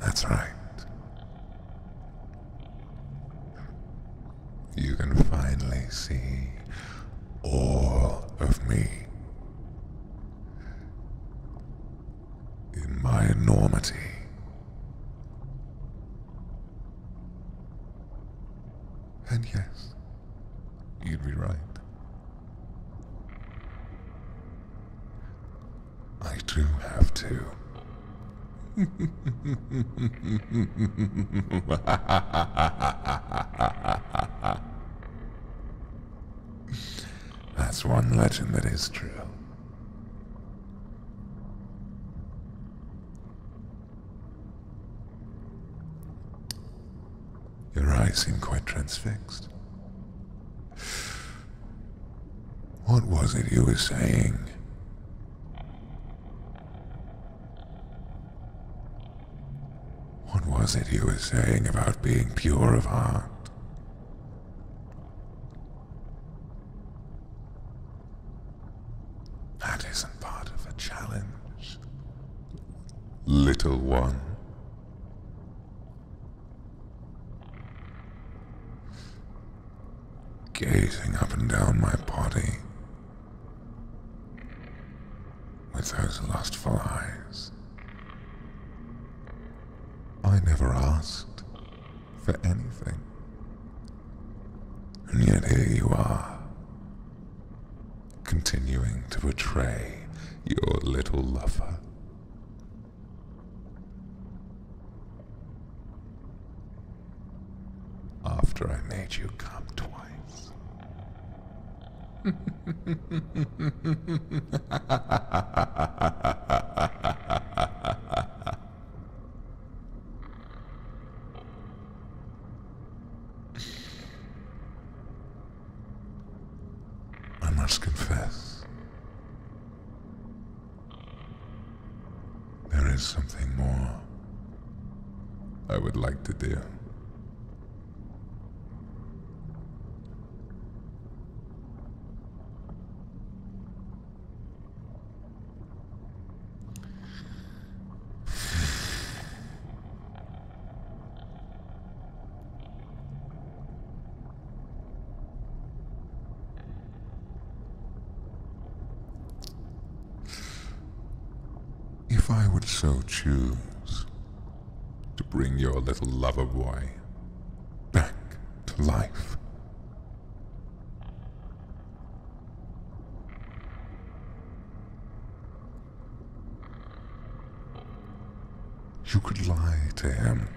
That's right. You can finally see all of me. In my enormity. And yes, you'd be right. I do have to. That's one legend that is true. Your eyes seem quite transfixed. What was it you were saying? What was it you were saying about being pure of heart? That isn't part of a challenge, little one. Gazing up and down my body with those lustful eyes. I never asked for anything. And yet here you are, continuing to betray your little lover. After I made you come twice. I must confess, there is something more I would like to do. If I would so choose to bring your little lover boy back to life, you could lie to him.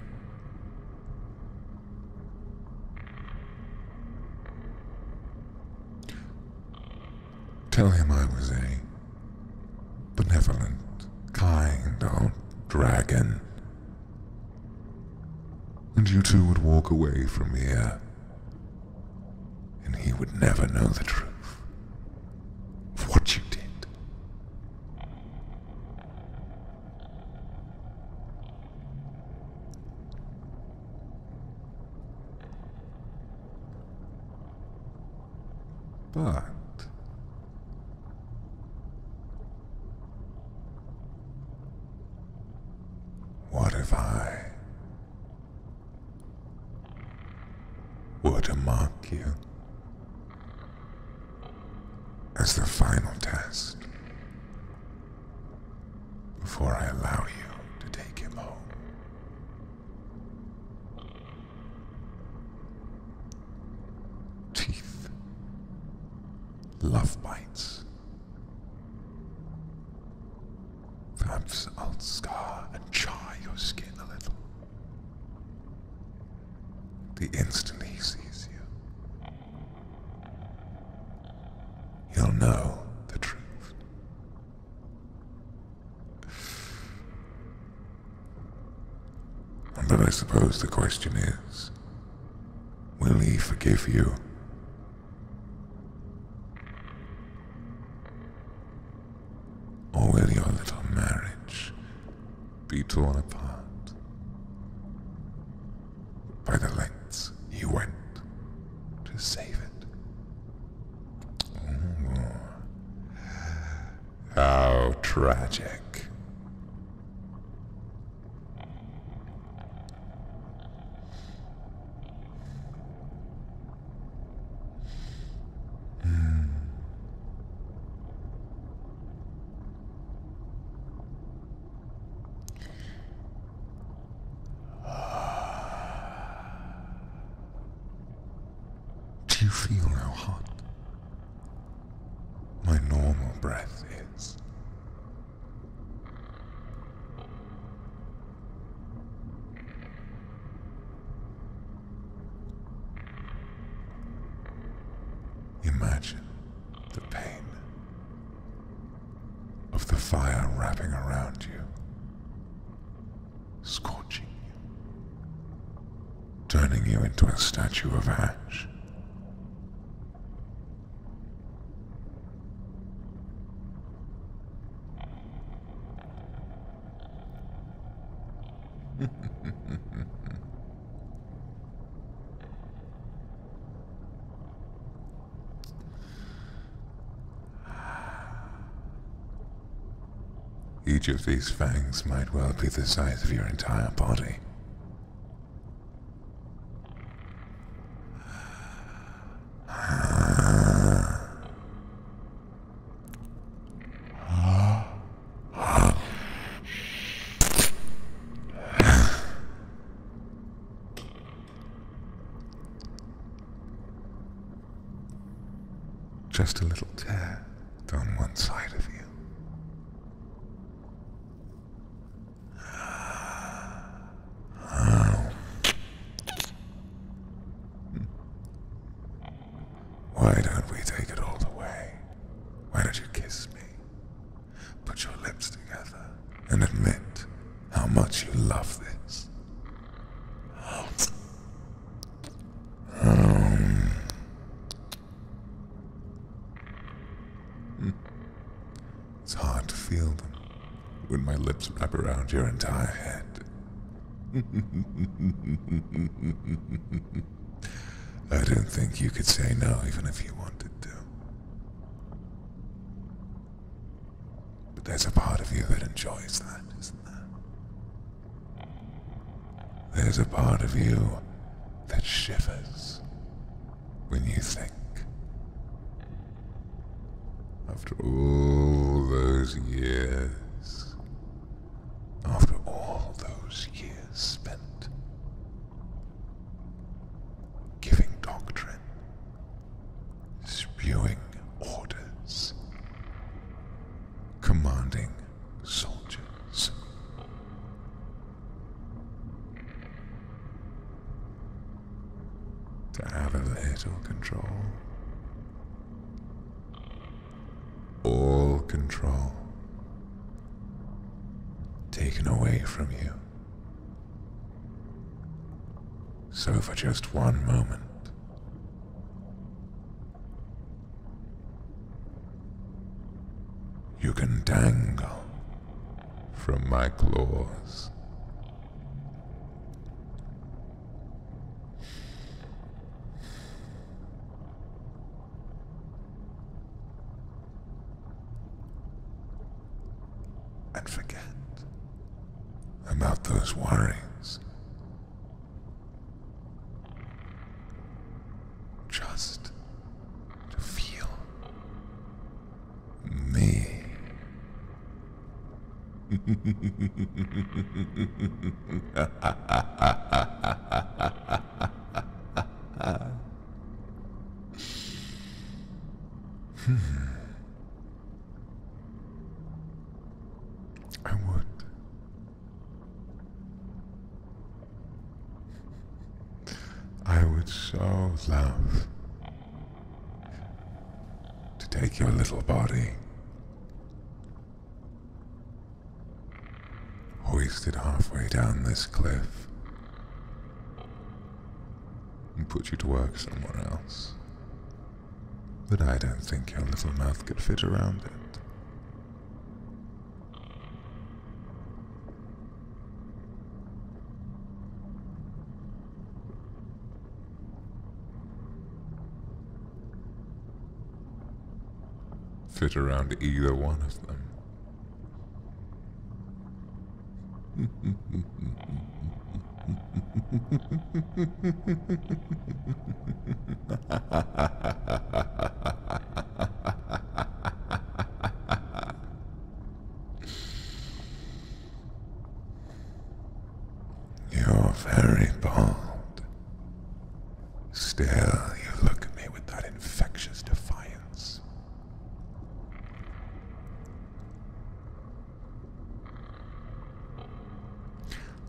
Tell him I was a benevolent, kind old dragon and you two would walk away from here, and he would never know the truth of what you did. But what if I were to mark you as the final test before I allow you to take him home? Teeth, love bites. Perhaps I'll scar and char your skin a little. The instant he sees you, he'll know the truth. But I suppose the question is Will he forgive you? Or will your little marriage be torn apart by the lengths you went to save it? How tragic. Do you feel how hot my normal breath is? Imagine the pain of the fire wrapping around you, scorching you, turning you into a statue of ash, each of these fangs might well be the size of your entire body. Just a little tear down one side of you. Why don't we take it all the way? Why don't you kiss me? Put your lips together and admit how much you love this. It's hard to feel them when my lips wrap around your entire head. I don't think you could say no even if you wanted to. But there's a part of you that enjoys that, isn't there? There's a part of you that shivers when you think. After all those years, after all those years spent giving doctrine, spewing orders, commanding soldiers, to have a little control. All control taken away from you. So for just one moment, you can dangle from my claws. And forget about those worries. Just to feel me. I would. I would so love to take your little body, hoisted halfway down this cliff, and put you to work somewhere else. But I don't think your little mouth could fit around it fit around either one of them. You're very bold. Still, you look at me with that infectious defiance.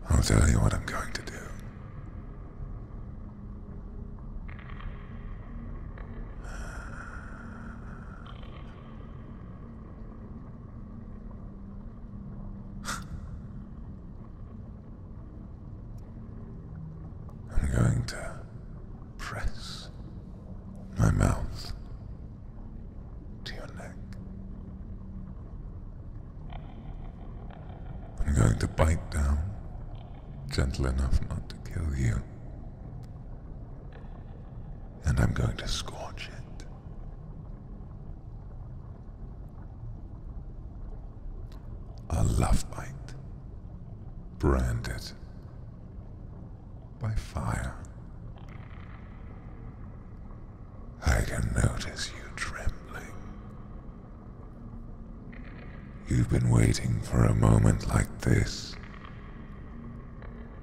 I'll tell you what I'm going to do. I'm going to press my mouth to your neck. I'm going to bite down, gentle enough not to kill you and I'm going to scorch it. A love bite, branded by fire. I can notice you trembling. You've been waiting for a moment like this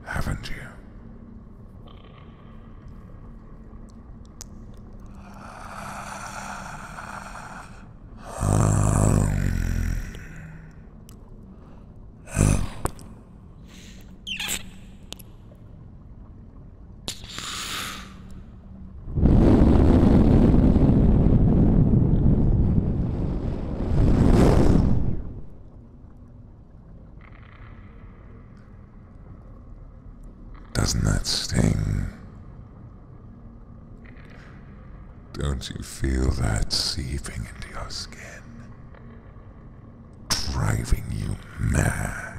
haven't you? Doesn't that sting? Don't you feel that seeping into your skin? Driving you mad.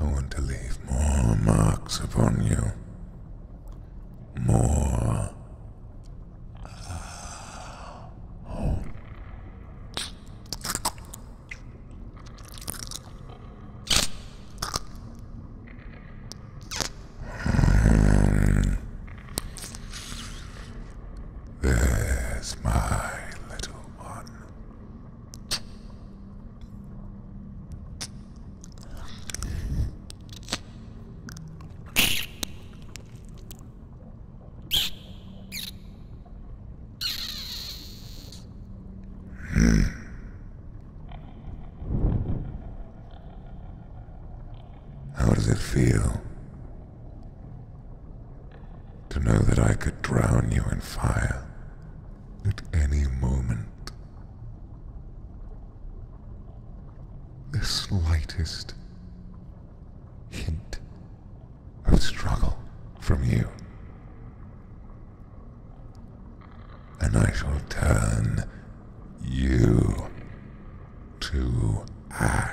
I want to leave more marks upon you. More. There's my little one. How does it feel to know that I could drown you in fire? at any moment. The slightest hint of struggle from you. And I shall turn you to ash.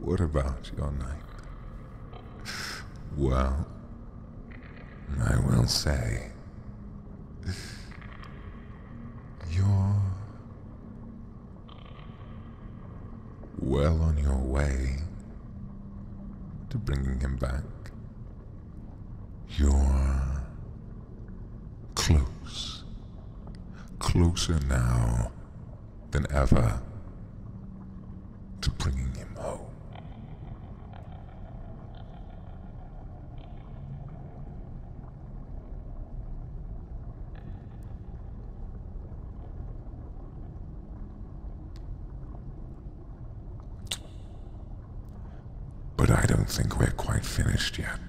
what about your name? Well, I will say. You're. well on your way to bringing him back. You're. close. Closer now than ever to bringing him home. But I don't think we're quite finished yet.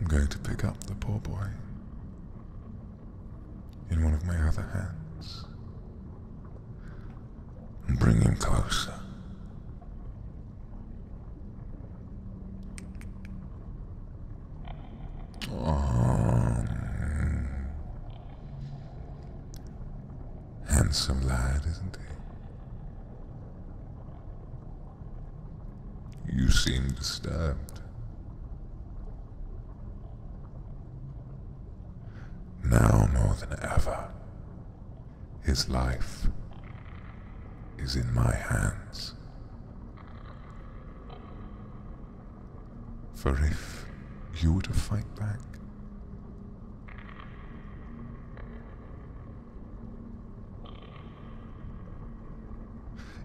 I'm going to pick up the poor boy in one of my other hands and bring him closer. handsome lad, isn't he? You seem disturbed. Now more than ever, his life is in my hands. For if you were to fight back,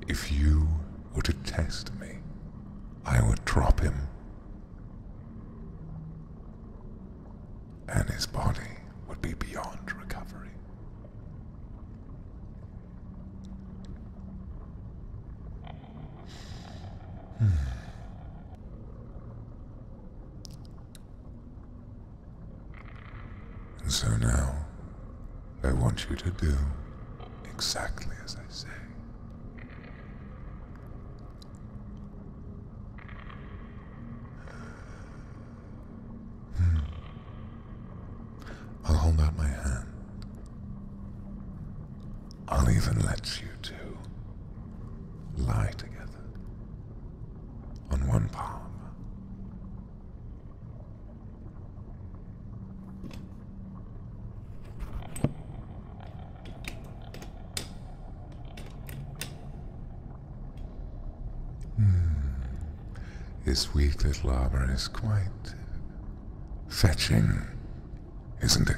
if you were to test me, I would drop him and his body would be beyond recovery. Hmm. And so now, I want you to do exactly as I say. Hmm. I'll hold out my hand. I'll even let you two lie together on one palm. This hmm. weak little arbor is quite fetching, isn't it?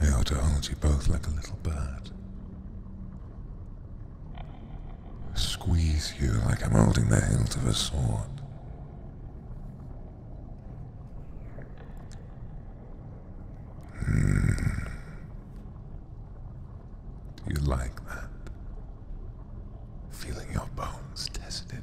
I ought to hold you both like a little bird. Squeeze you like I'm holding the hilt of a sword. Do hmm. you like that? Feeling your bones tested.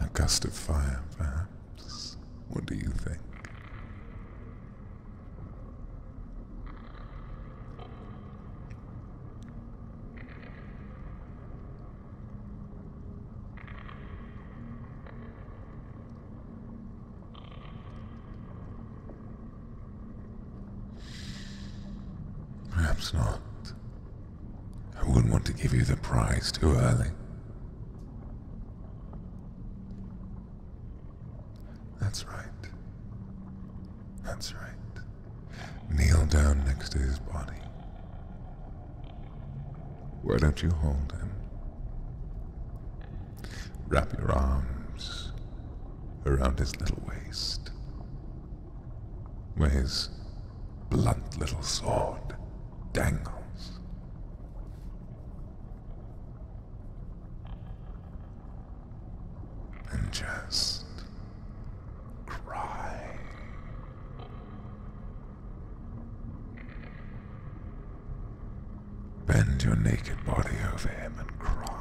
A gust of fire, perhaps? What do you think? Perhaps not. I wouldn't want to give you the prize too early. That's right. That's right. Kneel down next to his body. Why don't you hold him? Wrap your arms around his little waist, where his blunt little sword dangles. And just cry. Bend your naked body over him and cry.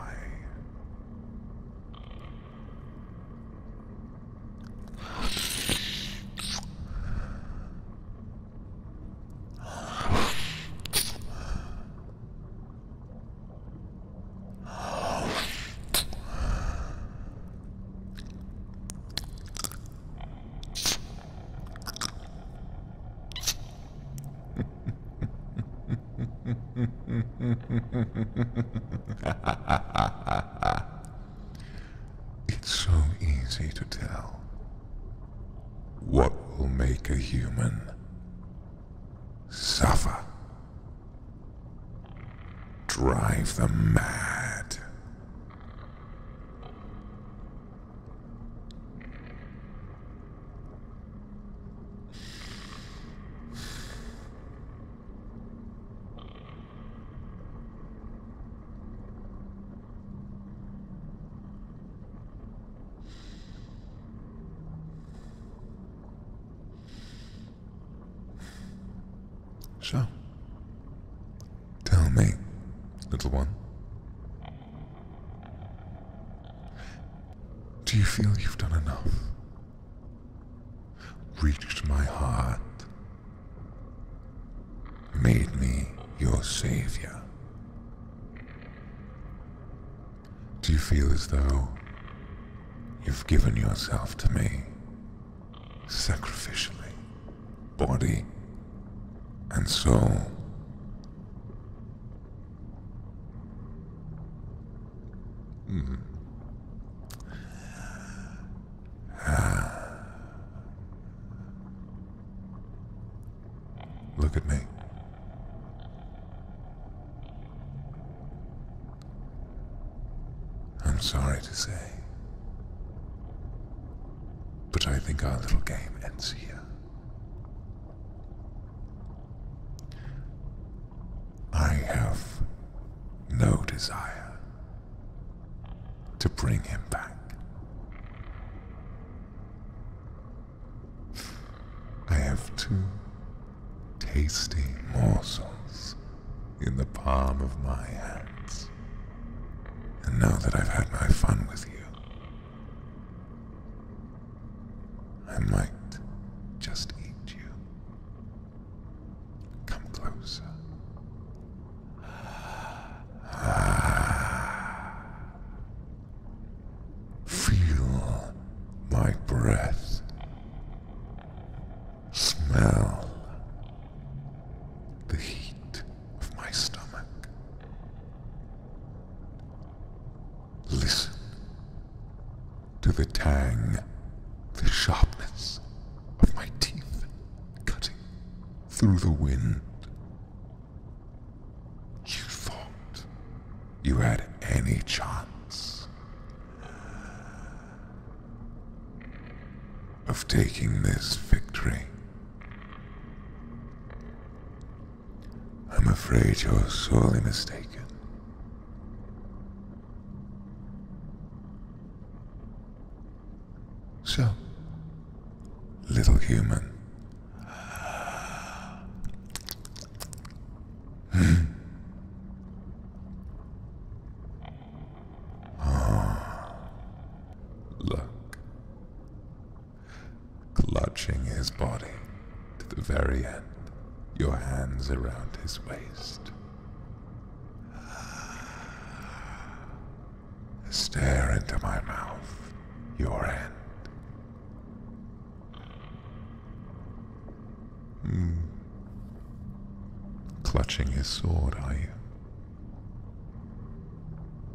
it's so easy to tell what will make a human suffer, drive them mad. So, tell me, little one, do you feel you've done enough? Reached my heart. Made me your savior. Do you feel as though you've given yourself to me sacrificially, body and soul? Hmm. Look at me. I'm sorry to say, but I think our little game ends here. I have no desire to bring him back. I have two tasty morsels in the palm of my hands. And now that I've had my fun with you, I might just eat you. Come closer. Feel my breath. Smell the heat of my stomach. Listen to the tang, the sharpness of my teeth cutting through the wind. You thought you had any chance of taking this victory. I'm afraid you're sorely mistaken. So, little human, ah, look, clutching his body to the very end, your hands around his waist. Stare into my mouth, your end. Hmm. Clutching his sword, are you?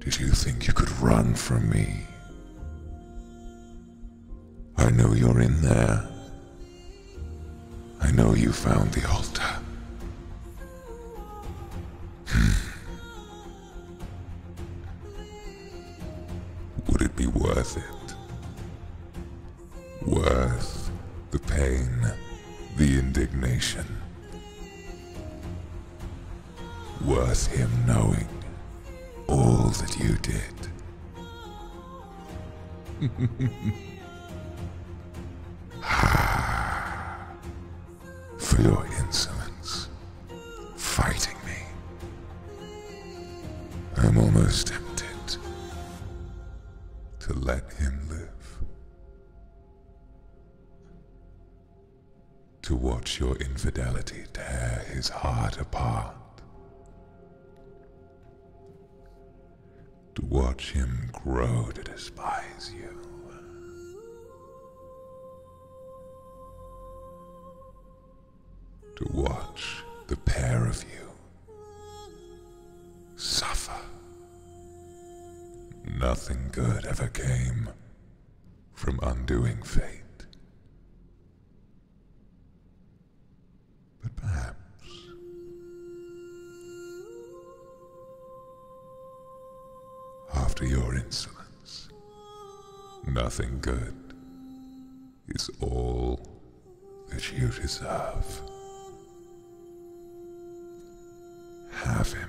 Did you think you could run from me? I know you're in there. I know you found the altar. Hmm. Would it be worth it? Worth the pain, the indignation. Worth him knowing all that you did. For your insolence, fighting me. I'm almost tempted to let him live. To watch your infidelity tear his heart apart to watch him grow to despise you. To watch the pair of you suffer. Nothing good ever came from undoing fate. But perhaps after your insolence, nothing good is all that you deserve. Have him.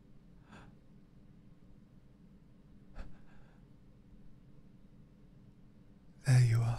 There you are.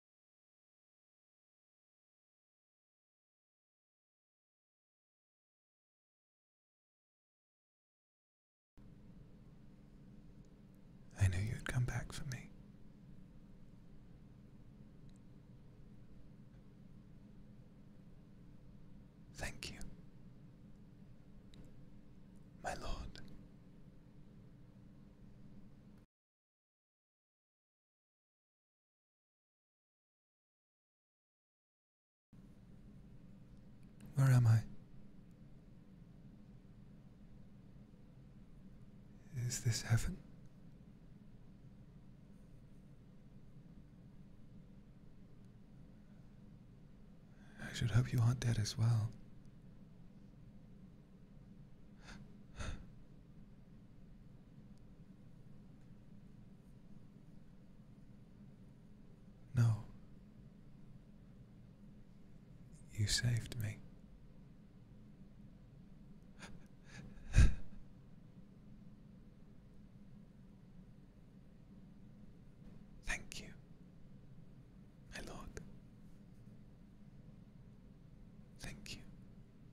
I knew you'd come back for me. Thank you, my lord. Where am I? Is this heaven? I should hope you aren't dead as well. No. You saved me. Thank you, my lord. Thank you